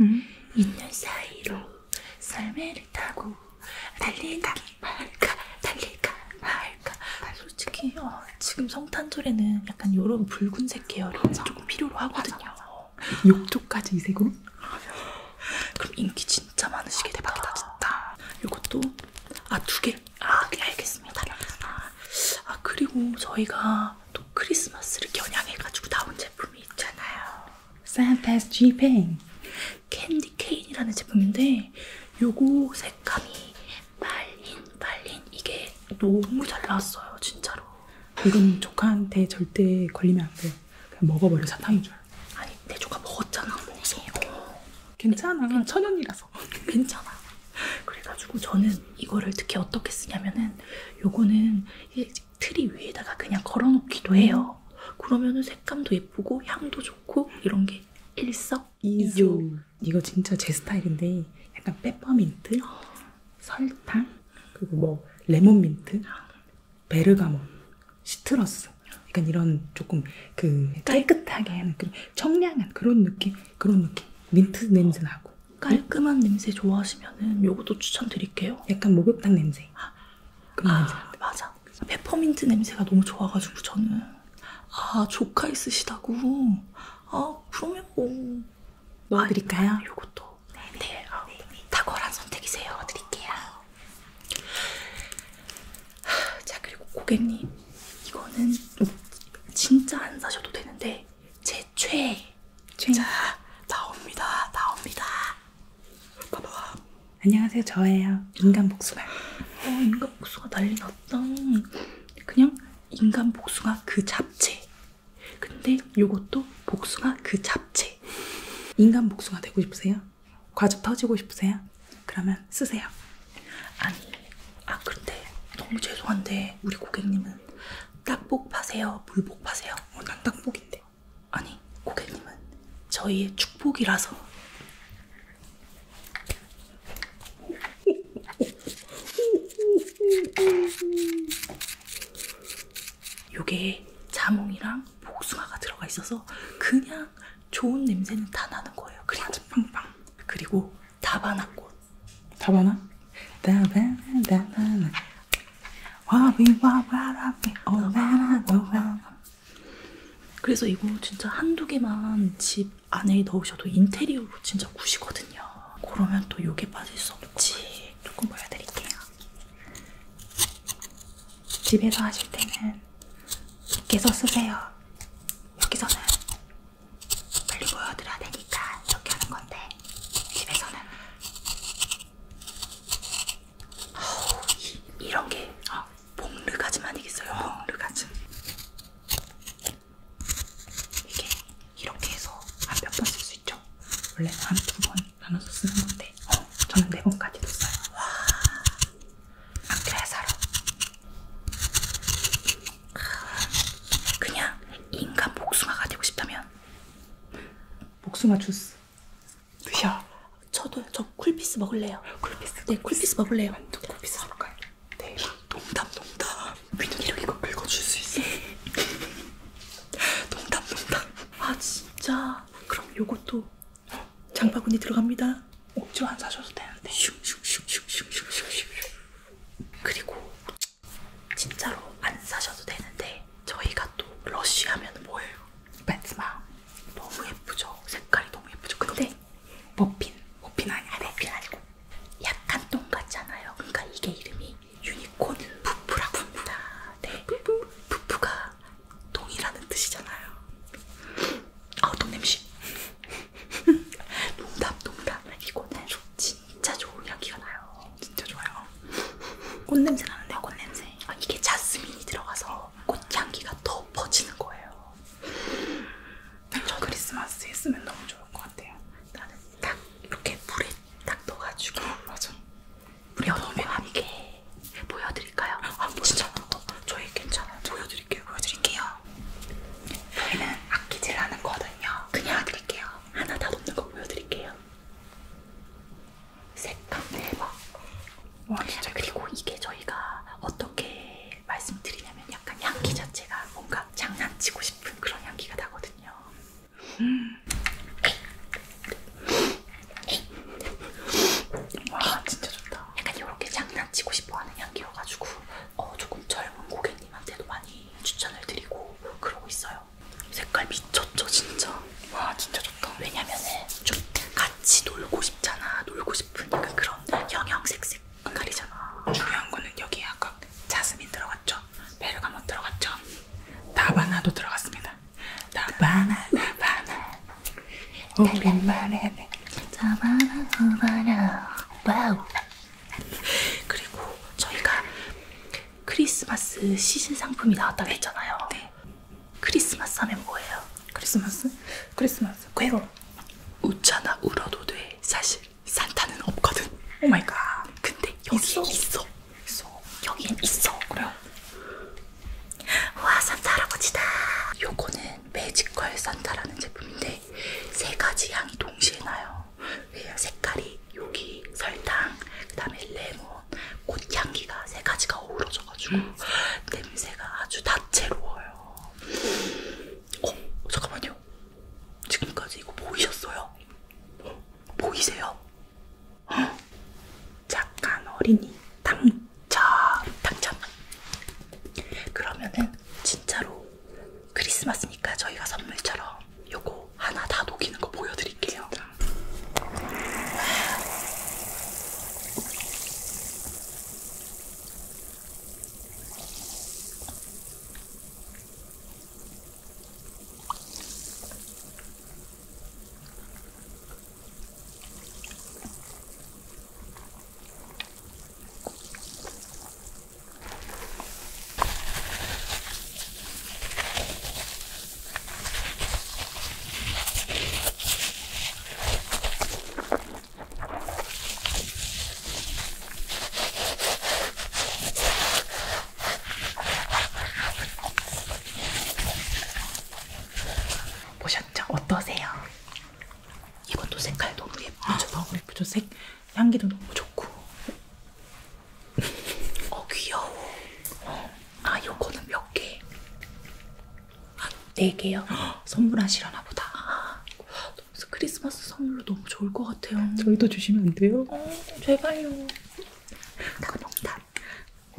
A: 응? 있는 사이로 설매를 타고 달릴까 말까 달릴까 말까 솔직히 어, 지금 성탄절에는 약간 이런 붉은색 계열이 맞아. 조금 필요로 하거든요. 욕조까지 이 색으로? 그럼 인기 진 진짜 많으시겠다. 대박이다 진짜. 이것도 아 두 개. 아 네, 알겠습니다. 아, 아 그리고 저희가 또 크리스마스를 겨냥해가지고 나온 제품이 있잖아요. 산타스 지팽 캔디 케인이라는 제품인데 요거 색감이 말린 말린 이게 너무 잘 나왔어요 진짜로. 이건 조카한테 절대 걸리면 안 돼요. 그냥 먹어버려 사탕인 줄. 아니 내 조카 먹었잖아 언니. 어. 괜찮아. 네, 천연이라서. 괜찮아. 그래가지고 저는 이거를 특히 어떻게 쓰냐면은 요거는 트리 위에다가 그냥 걸어놓기도 해요. 그러면은 색감도 예쁘고 향도 좋고 이런 게 일석이조. 이거 진짜 제 스타일인데 약간 페퍼민트, 어. 설탕, 그리고 뭐 레몬민트 베르가몬, 시트러스 약간 이런 조금 그 깨끗하게 하는 그런 청량한 그런 느낌 그런 느낌 민트 냄새 나고 깔끔한 냄새 좋아하시면은 요것도 추천드릴게요. 약간 목욕탕 냄새. 그런 아, 냄새. 맞아. 페퍼민트 냄새가 너무 좋아가지고 저는 아 조카 있으시다고 아 그러면 뭐 넣어드릴까요? 아, 요것도 네네 네. 네. 탁월한 네. 선택이세요. 넣어드릴게요. 자 그리고 고객님 이거는 진짜 안 사셔도 되는데 제 최애 자 나옵니다 나옵니다 봐봐 안녕하세요 저예요 인간 복숭아 어 인간 복숭아 난리 났다 그냥 인간 복숭아 그 잡채 근데 요것도 복숭아 그 잡채 인간 복숭아 되고 싶으세요? 과즙 터지고 싶으세요? 그러면 쓰세요. 아니, 아 근데 너무 죄송한데 우리 고객님은 딱복 파세요, 물복 파세요? 어, 난 딱복인데. 아니, 고객님은 저희의 축복이라서. 요게 자몽이랑 복숭아가 들어가 있어서 그냥 하니까 좋은 냄새는 다 나는 거예요. 그린지 빵빵. 그리고 다바나꽃. 다바나? 다바나 와비와바라비 오바라노바 그래서 이거 진짜 한두 개만 집 안에 넣으셔도 인테리어로 진짜 구시거든요. 그러면 또 요게 빠질 수 없지. 조금 보여드릴게요. 집에서 하실 때는 계속 쓰세요. 여기서는 빨리 보여드려야 되니까 이렇게 하는 건데 집에서는 어우, 이, 이런 게 어, 봉르가지만 이겠어요. 어. 봉르가지 이게 이렇게 해서 한몇번쓸수 있죠. 원래 한두 번 나눠서 쓰는 건데 어, 저는 네 번까지도 써요. 와 그래 살아. 그냥 인간 복숭아가 되고 싶다면 복숭아 주스 드셔. 저도 저 쿨피스 먹을래요. 쿨피스. 네, 쿨피스, 쿨피스 먹을래요. 완전 쿨피스 먹을까요? 네. 농담 농담. 민준 이렇게 이거 긁어줄 수 있어. 농담 농담. 아 진짜. 그럼 요것도 장바구니 들어갑니다. 억지로 안 사셔도 되는데. 네. 그리고 진짜로 안 사셔도 되는데 저희가 또 러쉬하면 뭐예요? 베트마 너무 예쁘죠? 색깔이 너무 예쁘죠? 근데 머핀 머핀 아니야 아, 머핀 아니고 약간 똥 같잖아요. 그러니까 이게 이름이 유니콘 부프라고 합니다. 네. 부프가 동이가 동이라는 뜻이잖아요. 아, 동냄새. 농담, 농담. 이거는 진짜 좋은 향기가 나요. 진짜 좋아요. 꽃냄새 나는데요, 꽃냄새. 아, 이게 자스민이 들어가서 꽃향기가 더 퍼지는 거예요. 저 크리스마스에 쓰면 너무 좋을 것 같아요. 나는 딱 이렇게 물에 딱 넣어가지고. 맞아. 물에 넣으면 아니게 보여드릴까요? 아 진짜 저희 괜찮아요. 보여드릴게요. 보여드릴게요. 저희는 아끼질 않았거든요. 그냥 드릴게요. 하나 다 놓는 거 보여드릴게요. 색감 대박. 와, 네, 진짜. 그리고 이게 저희가 어떻게 말씀드리냐면 약간 향기 자체가 뭔가 장난치고 싶은 그런 향기가 나거든요. 음. 와 진짜 좋다. 약간 이렇게 장난치고 싶어하는 향기여가지고 어, 조금 젊은 고객님한테도 많이 추천을 드리고 그러고 있어요. 색깔 미쳤죠 진짜. 와 진짜 좋다. 왜냐면은 좀 같이 놀고 싶잖아. 놀고 싶은 약간 그런 영양색색 색깔이잖아. 중요한 거는 여기에 아까 자스민 들어갔죠. 베르가못 들어갔죠. 다바나도 들어갔습니다. 다바나 다바나 우리만의 잡아라 잡아라 와우 그리고 저희가 크리스마스 시즌 상품이 나왔다고 네. 했잖아요 네. 크리스마스 하면 뭐예요? 크리스마스? 크리스마스 괴로 웃잖아 울어도 돼 사실 산타는 없거든 오마이갓 근데 여기에 있어 있어, 있어. 여기엔 있어 그래요 와 산타 할아버지다 요거는 이거는 매지컬 산타라는 제품인데 세 가지 향이 동시에 나요. 색깔이 여기 설탕, 그다음에 레몬, 꽃향기가 세 가지가 어우러져가지고 음. 냄새가 아주 다채로워요. 어 잠깐만요. 지금까지 이거 보이셨어요? 보이세요? 어? 잠깐 어린이. 당첨 당첨 그러면은 진짜로 크리스마스니까 저희가 선물처럼 요거 하나 다 녹이는 거 보여드릴게요 보셨죠? 어떠세요? 이것도 색깔 너무 예쁘죠? 아, 너무 예쁘죠? 색, 향기도 너무 좋고. 어, 귀여워. 어. 아, 요거는 몇 개? 아, 네 개요? 선물하시려나 보다. 아, 크리스마스 선물로 너무 좋을 것 같아요. 저희도 주시면 안 돼요? 어, 제발요. 당농담.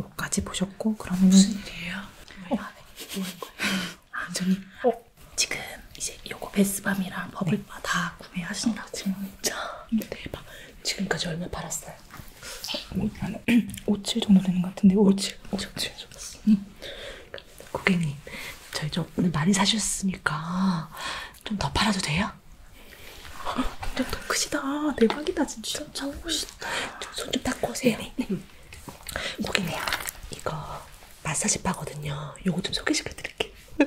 A: 여기까지 보셨고, 그럼 무슨 일이에요? 어, 왜안 해? 뭐할 거예요? 아, 저기 어? 지금 이제 요거 베스밤이랑 버블바 네. 다 구매하신다고. 진짜 대박. 지금까지 얼마 팔았어요? 한5,7 정도 되는 것 같은데 5,7 5,7 좋았어. 응. 음. 그러니까 고객님, 저희 좀 오늘 많이 사셨으니까 좀 더 팔아도 돼요? 완전 더 크시다. 대박이다 진짜. 진짜 멋있다. 손좀 닦고 오세요. 네. 네. 고객님 이거 마사지 바거든요. 요거 좀 소개시켜 드릴게요.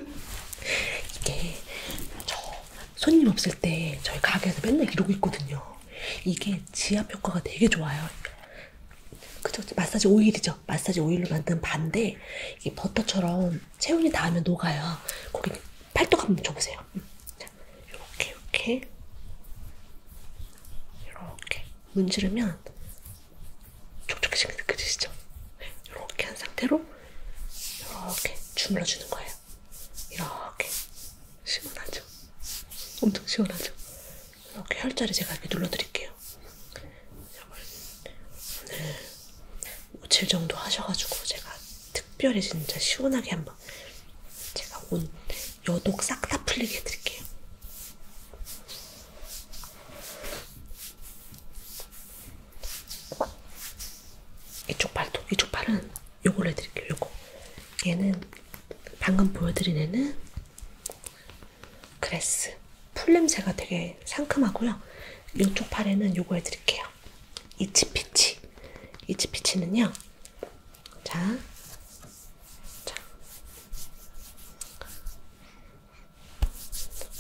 A: 이게 저 손님 없을 때 저희 가게에서 맨날 이러고 있거든요. 이게 지압 효과가 되게 좋아요. 그죠? 마사지 오일이죠. 마사지 오일로 만든 반데 이게 버터처럼 체온이 닿으면 녹아요. 고객님 팔뚝 한번 줘보세요. 이렇게 이렇게 이렇게 문지르면 촉촉해지는 게 느껴지시죠? 이렇게 한 상태로 이렇게 주물러주는 거예요. 이렇게 시원하죠? 엄청 시원하죠? 이렇게 혈자리 제가 이렇게 눌러드릴게요. 오늘 5칠 정도 하셔가지고 제가 특별히 진짜 시원하게 한번 제가 온 여독 싹 다 풀리게 해드릴게요. 이쪽 발도, 이쪽 발은 요걸로 해드릴게요. 요거. 얘는 방금 보여드린 애는 그레스. 풀 냄새가 되게 상큼하고요. 이쪽 팔에는 요거 해드릴게요. 이치피치. 이치피치는요. 자, 자.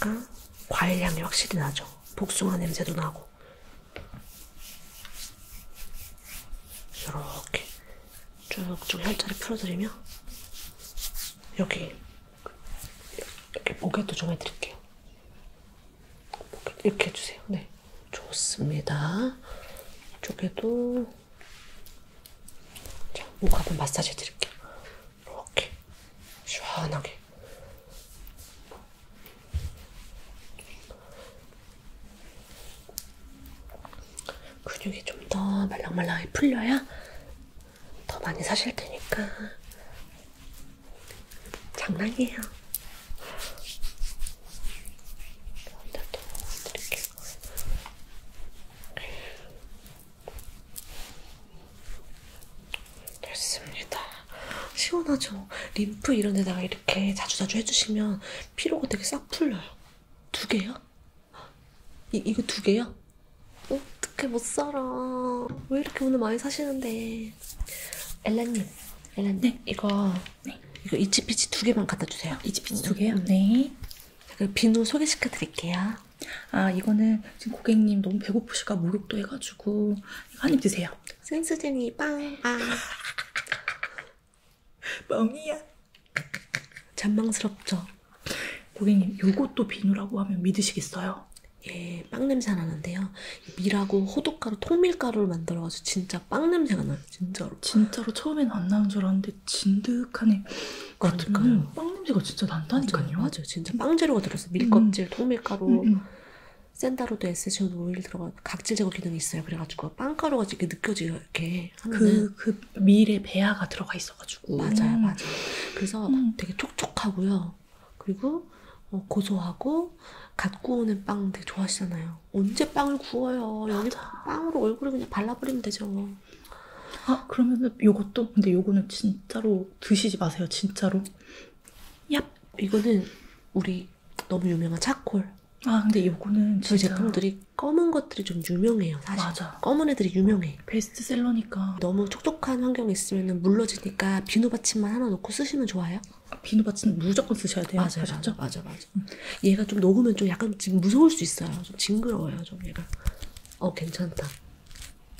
A: 그러니까 과일 향이 확실히 나죠. 복숭아 냄새도 나고. 이렇게 쭉쭉 혈자리 풀어드리며 여기 이렇게 목에도 좀 해드릴게요. 이렇게 해주세요. 네, 좋습니다. 이쪽에도 자, 목 한번 마사지 해드릴게요. 이렇게 시원하게. 근육이 좀 더 말랑말랑하게 풀려야 더 많이 사실 테니까. 장난이에요. 이렇게 됐습니다. 시원하죠? 림프 이런 데다가 이렇게 자주자주 해주시면 피로가 되게 싹 풀려요. 두 개요? 이, 이거 두 개요? 어떻게 못 살아. 왜 이렇게 오늘 많이 사시는데. 엘라님, 엘라님, 네. 이거, 네. 이거 이치피치 두 개만 갖다 주세요. 이치피치 두 음. 개요? 네. 네. 그 비누 소개시켜 드릴게요. 아 이거는 지금 고객님 너무 배고프실까 목욕도 해가지고 한입 드세요. 센스쟁이 빵빵. 뻥이야. 잔망스럽죠. 고객님 요것도 비누라고 하면 믿으시겠어요? 예, 빵 냄새 나는데요. 밀하고 호두가루, 통밀가루를 만들어가지고 진짜 빵 냄새가 나요, 진짜로. 진짜로 처음엔 안 나는 줄 알았는데 되게 진득하네. 그러면 빵 냄새가 진짜 난다니까요. 맞아요, 맞아요. 진짜 빵 재료가 들어서 밀껍질, 음. 통밀가루, 음, 음. 샌다로드 에센셜 오일 들어가 각질 제거 기능이 있어요. 그래가지고 빵가루가 이렇게 느껴지게 이렇게 그그 그 밀에 배아가 들어가 있어가지고 맞아요, 음. 맞아요. 그래서 음. 되게 촉촉하고요. 그리고 어, 고소하고 갓 구우는 빵 되게 좋아하시잖아요. 언제 빵을 구워요? 여기 빵으로 얼굴에 그냥 발라버리면 되죠. 아 그러면은 요것도 근데 요거는 진짜로 드시지 마세요 진짜로. 얍 이거는 우리 너무 유명한 차콜. 아 근데 요거는 저희 진짜... 제품들이 검은 것들이 좀 유명해요 사실. 맞아. 검은 애들이 유명해. 베스트셀러니까. 너무 촉촉한 환경에 있으면 물러지니까 비누받침만 하나 넣고 쓰시면 좋아요. 아, 비누받침 무조건 쓰셔야 돼요. 맞아요, 맞아, 맞아, 맞아. 응. 얘가 좀 녹으면 좀 약간 지금 무서울 수 있어요. 좀 징그러워요, 좀 얘가. 어 괜찮다.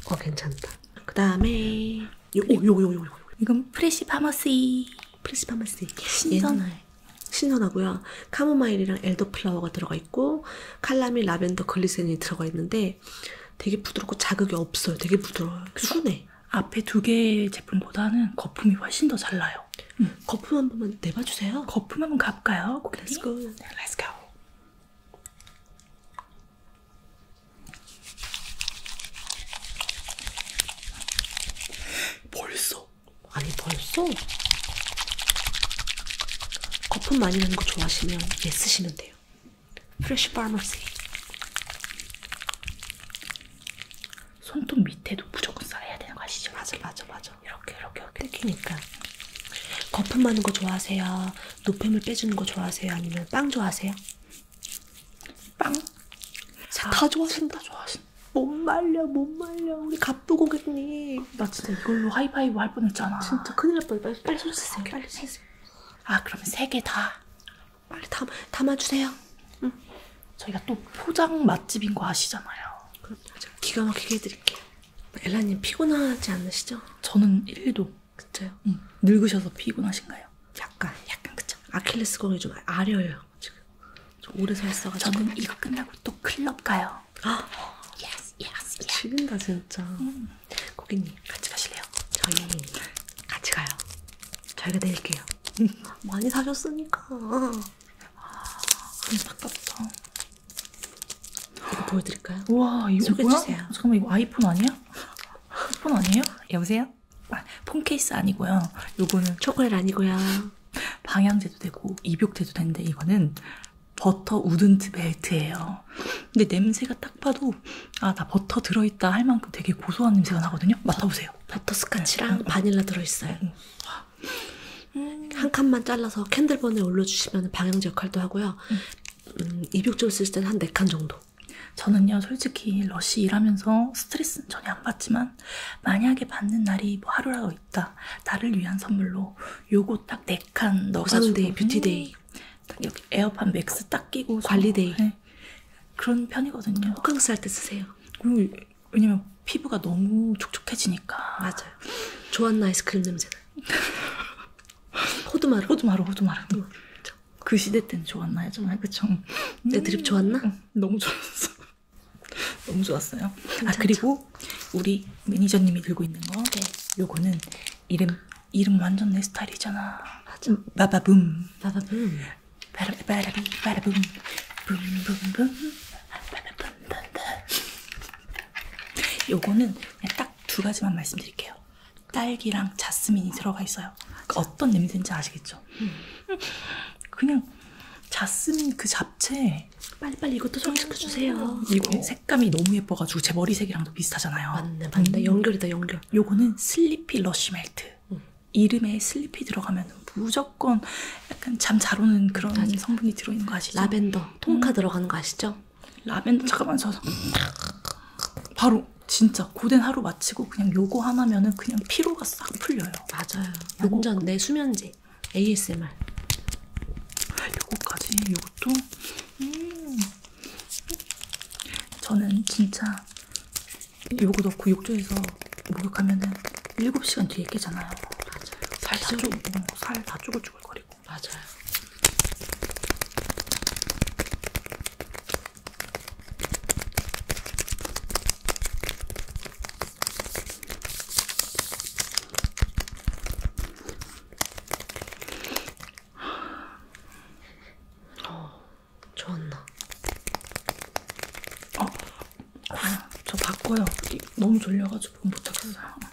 A: 어 괜찮다. 그 다음에 요요요요 이건 프레시 파머시. 프레시 파머시. 신선해. 예. 신선하고요. 카모마일이랑 엘더플라워가 들어가 있고 칼라미 라벤더 글리세린이 들어가 있는데 되게 부드럽고 자극이 없어요. 되게 부드러워요. 순해. 앞에 두 개의 제품보다는 거품이 훨씬 더 잘 나요. 음. 거품 한 번만 내봐주세요. 거품 한 번 가볼까요? 고객님? Let's go. Let's go. 벌써? 아니 벌써? 거품 많이 나는 거 좋아하시면 얘 예, 쓰시면 돼요. 프레쉬 파머시 손톱 밑에도 무조건 써야 되는 거 아시죠? 맞아 맞아 맞아 그렇죠. 이렇게 이렇게 이렇게 뜯기니까 거품 많은 거 좋아하세요? 노폐물 빼주는 거 좋아하세요? 아니면 빵 좋아하세요? 빵? 자, 다 좋아하신다 좋아하신. 못 말려 못 말려 우리 가쁘 고객님. 나 진짜 이걸로 하이파이브 할 뻔했잖아. 진짜 큰일 날 뻔. 빨리 빨리 손 쓰세요. 빨리 쓰세요. 아 그럼 세개 다. 빨리 담 담아주세요. 응. 저희가 또 포장 맛집인 거 아시잖아요. 그럼 기가 막히게 해드릴게요. 엘라님 피곤하지 않으시죠? 저는 1도. 그쵸? 응. 늙으셔서 피곤하신가요? 약간. 약간 그쵸? 아킬레스건이 좀 아려요. 지금. 좀 오래 서 있어가지고. 저는 이거 끝나고 또 클럽 가요. 아, 예스, 예스, 예스. 지린다 진짜. 음. 고객님 같이 가실래요? 저희 같이 가요. 저희가 내릴게요. 음. 많이 사셨으니까. 아, 아깝다. 이거 보여드릴까요? 와 이거 뭐야? 주세요. 잠깐만 이거 아이폰 아니야? 아이폰 아니에요? 여보세요? 아, 폰 케이스 아니고요. 요거는 초콜릿 아니고요. 방향제도 되고 입욕제도 되는데 이거는 버터 우든트 벨트예요. 근데 냄새가 딱 봐도 아 나 버터 들어있다 할 만큼 되게 고소한 냄새가 나거든요. 맡아보세요. 버터 네. 스카치랑 네. 바닐라 들어있어요. 음. 한 칸만 잘라서 캔들번에 올려주시면 방향제 역할도 하고요. 음. 음, 입욕제를 쓸 때는 한네 칸 정도. 저는요, 솔직히 러쉬 일하면서 스트레스는 전혀 안 받지만 만약에 받는 날이 뭐 하루라도 있다, 나를 위한 선물로 요거 딱 네 칸 넣어가지고 데이 뷰티데이, 음, 딱 여기 에어팟 맥스 딱 끼고 관리데이 네. 그런 편이거든요. 호캉스 할 때 쓰세요. 그리고 음, 왜냐면 피부가 너무 촉촉해지니까. 맞아요. 좋았나 아이스크림 냄새는. 호두마루. 호두마루, 호두마루. 응, 뭐, 그 시대 때는 좋았나요, 정말 그쵸? 내 음, 드립 좋았나? 응, 음, 너무 좋았어. 너무 좋았어요. 아, 괜찮죠? 아 그리고 우리 매니저님이 들고 있는 거, 네. 요거는 이름 이름 완전 내 스타일이잖아. 맞아. 바바붐. 바바붐. 바라비 바라비 바라붐. 붐붐붐. 요거는 딱두 가지만 말씀드릴게요. 딸기랑 자스민이 들어가 있어요. 그러니까 어떤 냄새인지 아시겠죠? 음. 그냥 자스민 그 잡채 빨리빨리 이것도 소개시켜주세요. 음, 이거 색감이 너무 예뻐가지고 제 머리색이랑도 비슷하잖아요. 맞네, 맞네. 음. 연결이다, 연결. 요거는 슬리피 러쉬 멜트. 음. 이름에 슬리피 들어가면 무조건 약간 잠 잘 오는 그런 맞아. 성분이 들어있는 거 아시죠? 라벤더, 통카 음. 들어가는 거 아시죠? 라면 잠깐만 저서 바로 진짜 고된 하루 마치고 그냥 요거 하나면은 그냥 피로가 싹 풀려요. 맞아요. 요거. 완전 내 수면제 ASMR. 요거까지 요것도 음. 저는 진짜 요거 넣고 욕조에서 목욕하면은 7시간 뒤에 깨잖아요. 맞아요. 살다 쪼고 어, 살다 쪼글쪼글거리고 맞아요. 어, 좋았나? 어, 아, 저 바꿔요. 너무 졸려가지고 못하겠어요.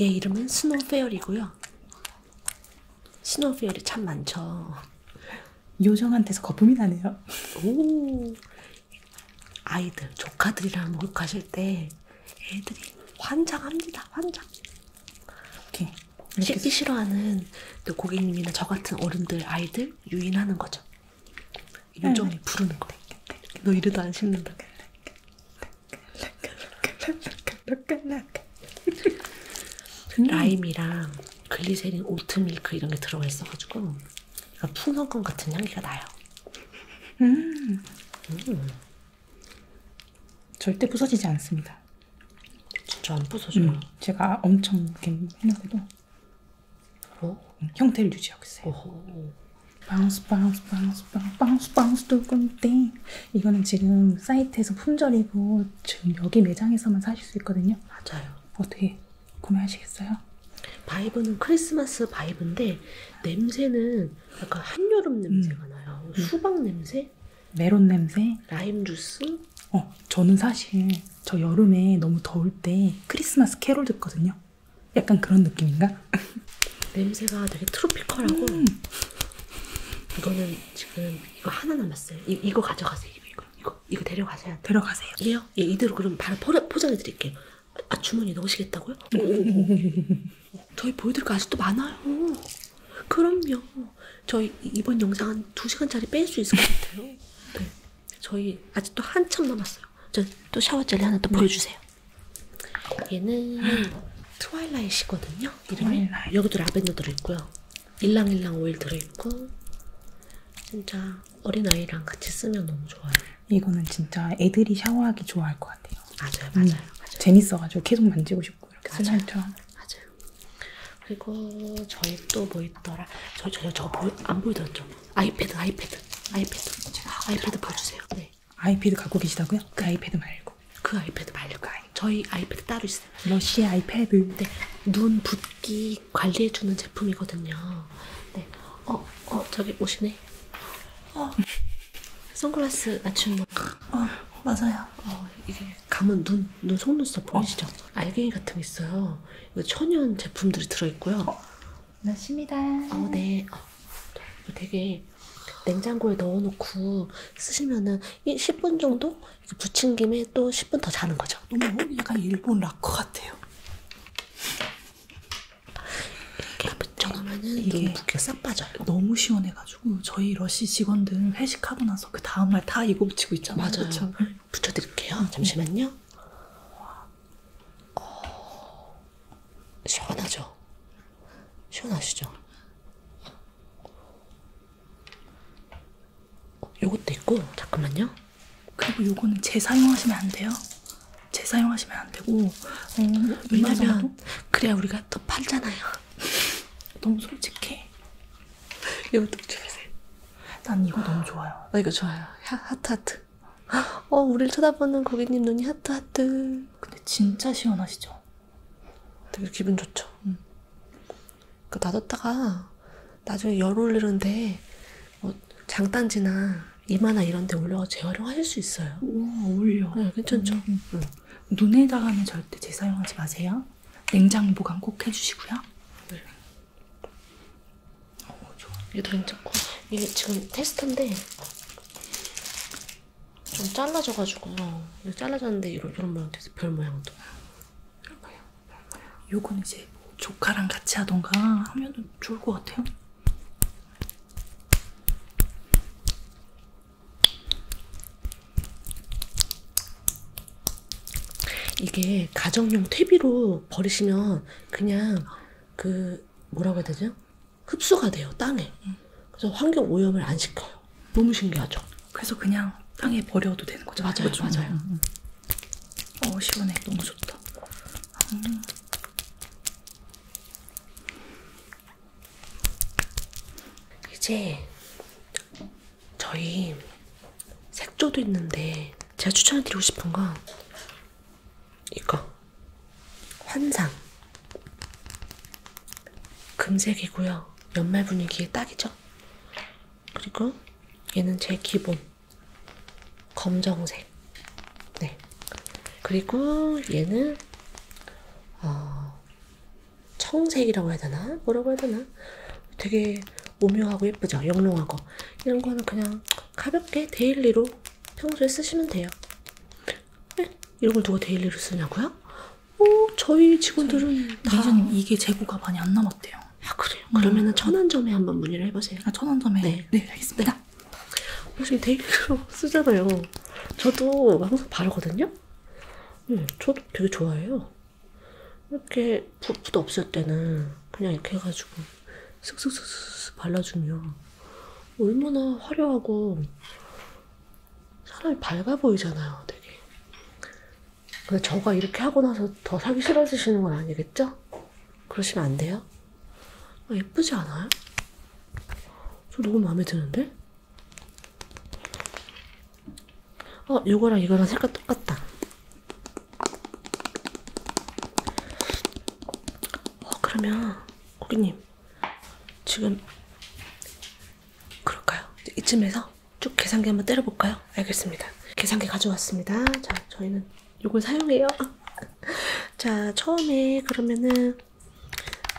A: 얘 이름은 스노페어이고요. 스노페어이 참 많죠. 요정한테서 거품이 나네요. 오, 아이들 조카들이랑 목욕하실 때 애들이 환장합니다. 환장. 오케이. 씻기 싫어하는 또 고객님이나 저 같은 어른들 아이들 유인하는 거죠. 네, 네. 요정이 부르는 거예요. 네, 너 이래도 안 씻는다. 음. 라임이랑 글리세린, 오트밀크 이런 게 들어가 있어가지고 풍선껌 같은 향기가 나요. 음. 음. 절대 부서지지 않습니다. 진짜 안 부서져요. 음. 제가 엄청 이렇게 했는데도 어? 음, 형태를 유지하고 있어요. 어허. 바운스 바운스 바운스 바운스 바운스 바운스 두근띵 이거는 지금 사이트에서 품절이고 지금 여기 매장에서만 사실 수 있거든요. 맞아요. 어떻게 구매하시겠어요? 바이브는 크리스마스 바이브인데 냄새는 약간 한여름 냄새가 음. 나요. 음. 수박 냄새? 메론 냄새? 라임 주스? 어, 저는 사실 저 여름에 너무 더울 때 크리스마스 캐롤 듣거든요. 약간 그런 느낌인가? 네. 냄새가 되게 트로피컬하고 음. 이거는 지금 이거 하나 남았어요. 이, 이거 가져가세요. 이거 이거 이거 데려가세요. 데려가세요. 예요? 예 이대로 그럼 바로 포장해 드릴게요. 아 주머니 넣으시겠다고요? 저희 보여드릴 거 아직도 많아요. 그럼요. 저희 이번 영상 한 2시간짜리 뺄 수 있을 것 같아요. 네. 네. 저희 아직도 한참 남았어요. 저 또 샤워 젤리 하나 또 보여주세요. 얘는 트와일라이시거든요. 이름이 트와일라잇. 여기도 라벤더 들어있고요. 일랑일랑 오일 들어있고 진짜 어린아이랑 같이 쓰면 너무 좋아요. 이거는 진짜 애들이 샤워하기 좋아할 것 같아요. 맞아요. 음, 맞아요. 음, 맞아요. 재밌어가지고 계속 만지고 싶고 이렇게 수날처럼. 맞아요. 그리고 저희 또뭐 있더라? 저, 저, 저, 안 보여드렸죠? 아이패드, 아이패드, 아이패드. 아이패드 보여주세요. 네. 아이패드 갖고 계시다고요? 그 아이패드 말고. 그 아이패드 말고. 그 저희 아이패드 따로 있어요. 러시아 아이패드. 네. 눈 붓기 관리해주는 제품이거든요. 네. 어, 어, 저기 오시네. 어. 선글라스 낮춘 거. 어, 맞아요. 어, 이게 감은 눈, 눈 속눈썹 어. 보이시죠? 어. 알갱이 같은 게 있어요. 이거 천연 제품들이 들어있고요. 어. 맞습니다. 네, 어, 네. 어, 되게 냉장고에 넣어놓고 쓰시면은 10분 정도 붙인 김에 또 10분 더 자는 거죠. 너무 약간 일본 락커 같아요. 이렇게 붙여놓으면은 이게 붓게 싹 빠져요. 너무 시원해가지고 저희 러시 직원들 회식하고 나서 그 다음날 다 이거 붙이고 있잖아요. 맞아요. 그쵸? 붙여드릴게요. 응. 잠시만요. 음. 어... 시원하죠? 시원하시죠? 요것도 있고 잠깐만요. 그리고 요거는 재사용하시면 안 돼요. 재사용하시면 안 되고 어, 왜냐면 그래야 우리가 또 팔잖아요. 너무 솔직해. 이것도 주세요. 난 이거 너무 좋아요. 나 어, 이거 좋아요. 하트 하트. 어, 우리를 쳐다보는 고객님 눈이 하트 하트. 근데 진짜 시원하시죠? 되게 기분 좋죠. 음. 그 놔뒀다가 나중에 열 올리는데 뭐 장단지나 이마나 이런데 올려서 재활용하실 수 있어요. 오, 어울려. 네, 괜찮죠. 음, 음, 음. 눈에다가는 절대 재사용하지 마세요. 냉장 보관 꼭 해주시고요. 네. 오, 어, 좋아. 이게 더 괜찮고 이게 지금 테스트인데 좀 잘라져가지고 이렇게 잘라졌는데 이런, 이런 모양 돼서 별 모양도 별 모양 별 모양 요건 이제 뭐 조카랑 같이 하던가 하면은 좋을 것 같아요 이게 가정용 퇴비로 버리시면 그냥 그 뭐라고 해야 되죠? 흡수가 돼요 땅에. 그래서 환경 오염을 안 시켜요. 너무 신기하죠. 그래서 그냥 땅에 버려도 되는 거죠. 맞아요, 그렇죠? 맞아요. 음. 음. 어 시원해, 너무 좋다. 음. 이제 저희 색조도 있는데 제가 추천해드리고 싶은 건 이거 환상. 금색이고요. 연말 분위기에 딱이죠. 그리고 얘는 제 기본 검정색. 네. 그리고 얘는 어, 청색이라고 해야 되나? 뭐라고 해야 되나? 되게 오묘하고 예쁘죠. 영롱하고 이런 거는 그냥 가볍게 데일리로 평소에 쓰시면 돼요. 네? 이런 걸 누가 데일리로 쓰냐고요? 어, 저희 직원들은 다 매니저님 이게 재고가 많이 안 남았대요. 아 그래요? 음. 그러면은 천안점에 한번 문의를 해보세요. 아 천안점에. 네, 네 알겠습니다. 네. 혹시 데일리로 쓰잖아요. 저도 항상 바르거든요. 음, 저도 되게 좋아해요. 이렇게 붓도 없을 때는 그냥 이렇게 해가지고 슥슥슥슥 발라주면 얼마나 화려하고 사람이 밝아 보이잖아요, 되게. 근데 저가 이렇게 하고 나서 더 사기 싫어지시는 건 아니겠죠? 그러시면 안 돼요? 아, 예쁘지 않아요? 저 너무 마음에 드는데? 어, 이거랑 이거랑 색깔 똑같다. 어, 그러면 고객님 지금 그럴까요? 이쯤에서 쭉 계산기 한번 때려볼까요? 알겠습니다. 계산기 가져왔습니다. 자, 저희는 이걸 사용해요. 자, 처음에 그러면은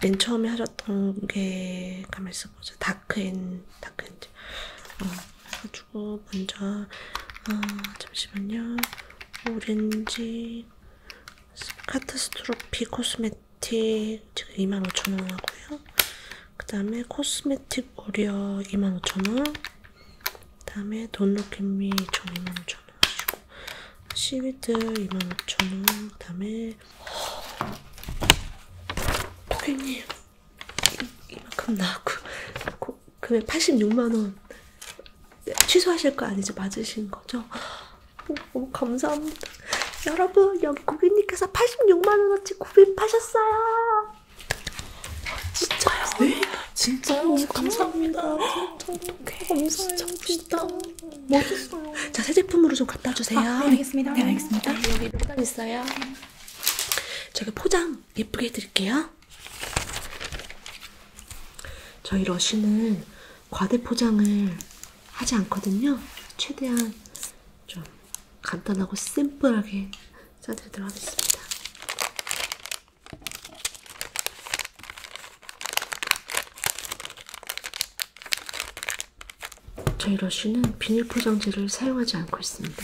A: 맨 처음에 하셨던 게 가만 있어보자. 다크앤 다크앤즈. 어, 해가지고 먼저 아, 잠시만요. 오렌지 카트스트로피 코스메틱 코스메틱 지금 25,000원 하고요. 그 다음에 코스메틱 오리어 25,000원. 그 다음에 돈룩앤미 2,000원 하시고 시위드 25,000원. 그 다음에 고객님 이만큼 나왔고 고, 금액 86만원 취소하실 거 아니죠? 맞으신 거죠? 너무 어, 어, 감사합니다. 여러분 여기 고객님께서 86만원어치 구입하셨어요. 진짜요? 네, 진짜요? 어, 감사합니다. 아, 감사해요, 진짜 진짜 멋있어요. 자, 새 제품으로 좀 갖다 주세요. 아, 네, 알겠습니다. 네, 네 알겠습니다. 네, 여기 포장 있어요. 제가 포장 예쁘게 해드릴게요. 저희 러쉬는 과대 포장을 하지 않거든요. 최대한 좀 간단하고 심플하게 짜드리도록 하겠습니다. 저희 러쉬는 비닐 포장지를 사용하지 않고 있습니다.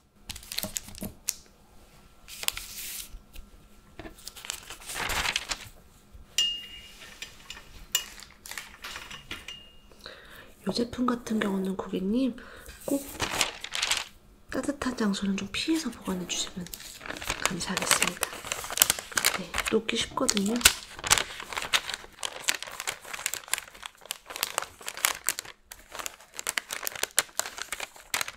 A: 이 제품 같은 경우는 고객님 꼭 따뜻한 장소는 좀 피해서 보관해 주시면 감사하겠습니다. 네, 녹기 쉽거든요.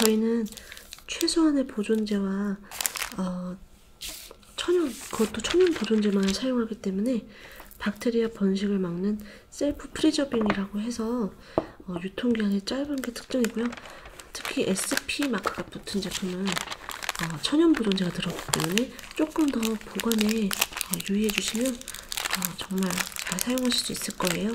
A: 저희는 최소한의 보존제와 어, 천연, 그것도 천연 보존제만을 사용하기 때문에 박테리아 번식을 막는 셀프 프리저빙이라고 해서 어, 유통기한이 짧은 게 특징이고요. 특히 SP 마크가 붙은 제품은 어, 천연 보존제가 들어있기 때문에 조금 더 보관에 어, 유의해 주시면 어, 정말 잘 사용하실 수 있을 거예요.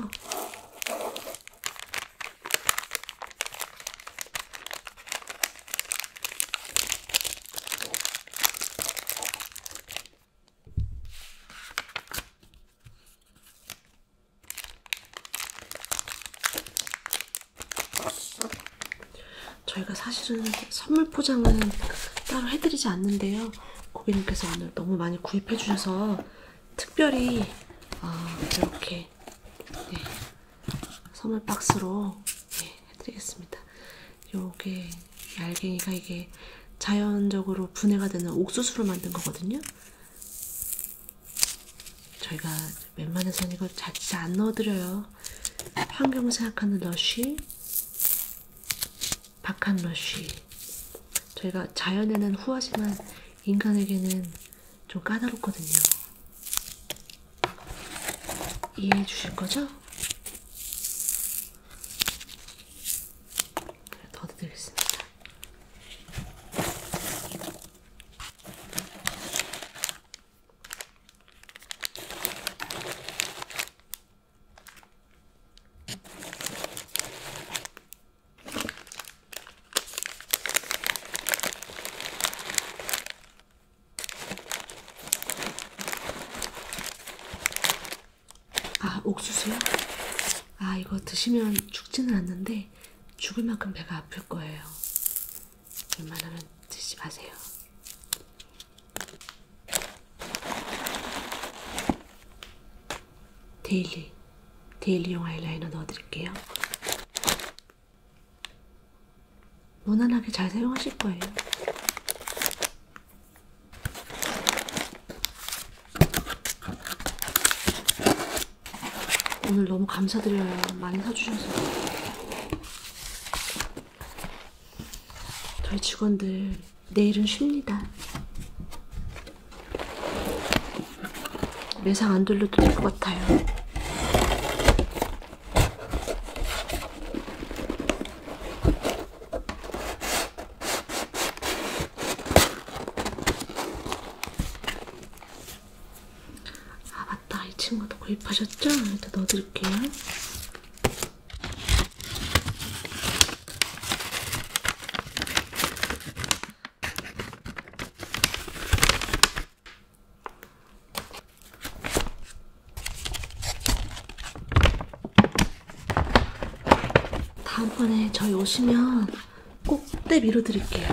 A: 저희가 사실은 선물 포장은 따로 해드리지 않는데요. 고객님께서 오늘 너무 많이 구입해주셔서 특별히 어, 이렇게 네, 선물 박스로 네, 해드리겠습니다. 요게 얇갱이가 이게 자연적으로 분해가 되는 옥수수로 만든 거거든요. 저희가 웬만해서는 이거 자칫 안 넣어드려요. 환경 생각하는 러쉬, 박한 러쉬. 저희가 자연에는 후하지만 인간에게는 좀 까다롭거든요. 이해해 주실 거죠? 네, 더 드리겠습니다. 아, 옥수수요? 아, 이거 드시면 죽지는 않는데 죽을 만큼 배가 아플 거예요. 웬만하면 드시지 마세요. 데일리, 데일리용 아이라이너 넣어드릴게요. 무난하게 잘 사용하실 거예요. 오늘 너무 감사드려요. 많이 사주셔서. 저희 직원들 내일은 쉽니다. 매상 안 돌려도 될 것 같아요. 아 맞다 이 친구도 구입하셨죠? 일단 넣어드릴게요. 다음번에 저희 오시면 꼭 때 밀어드릴게요.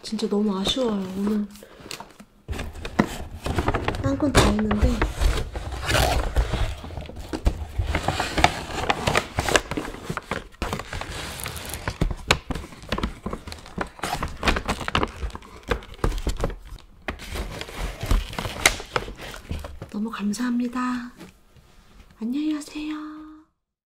A: 진짜 너무 아쉬워요. 오늘 딴 건 다 했는데 너무 감사합니다. 안녕히 가세요.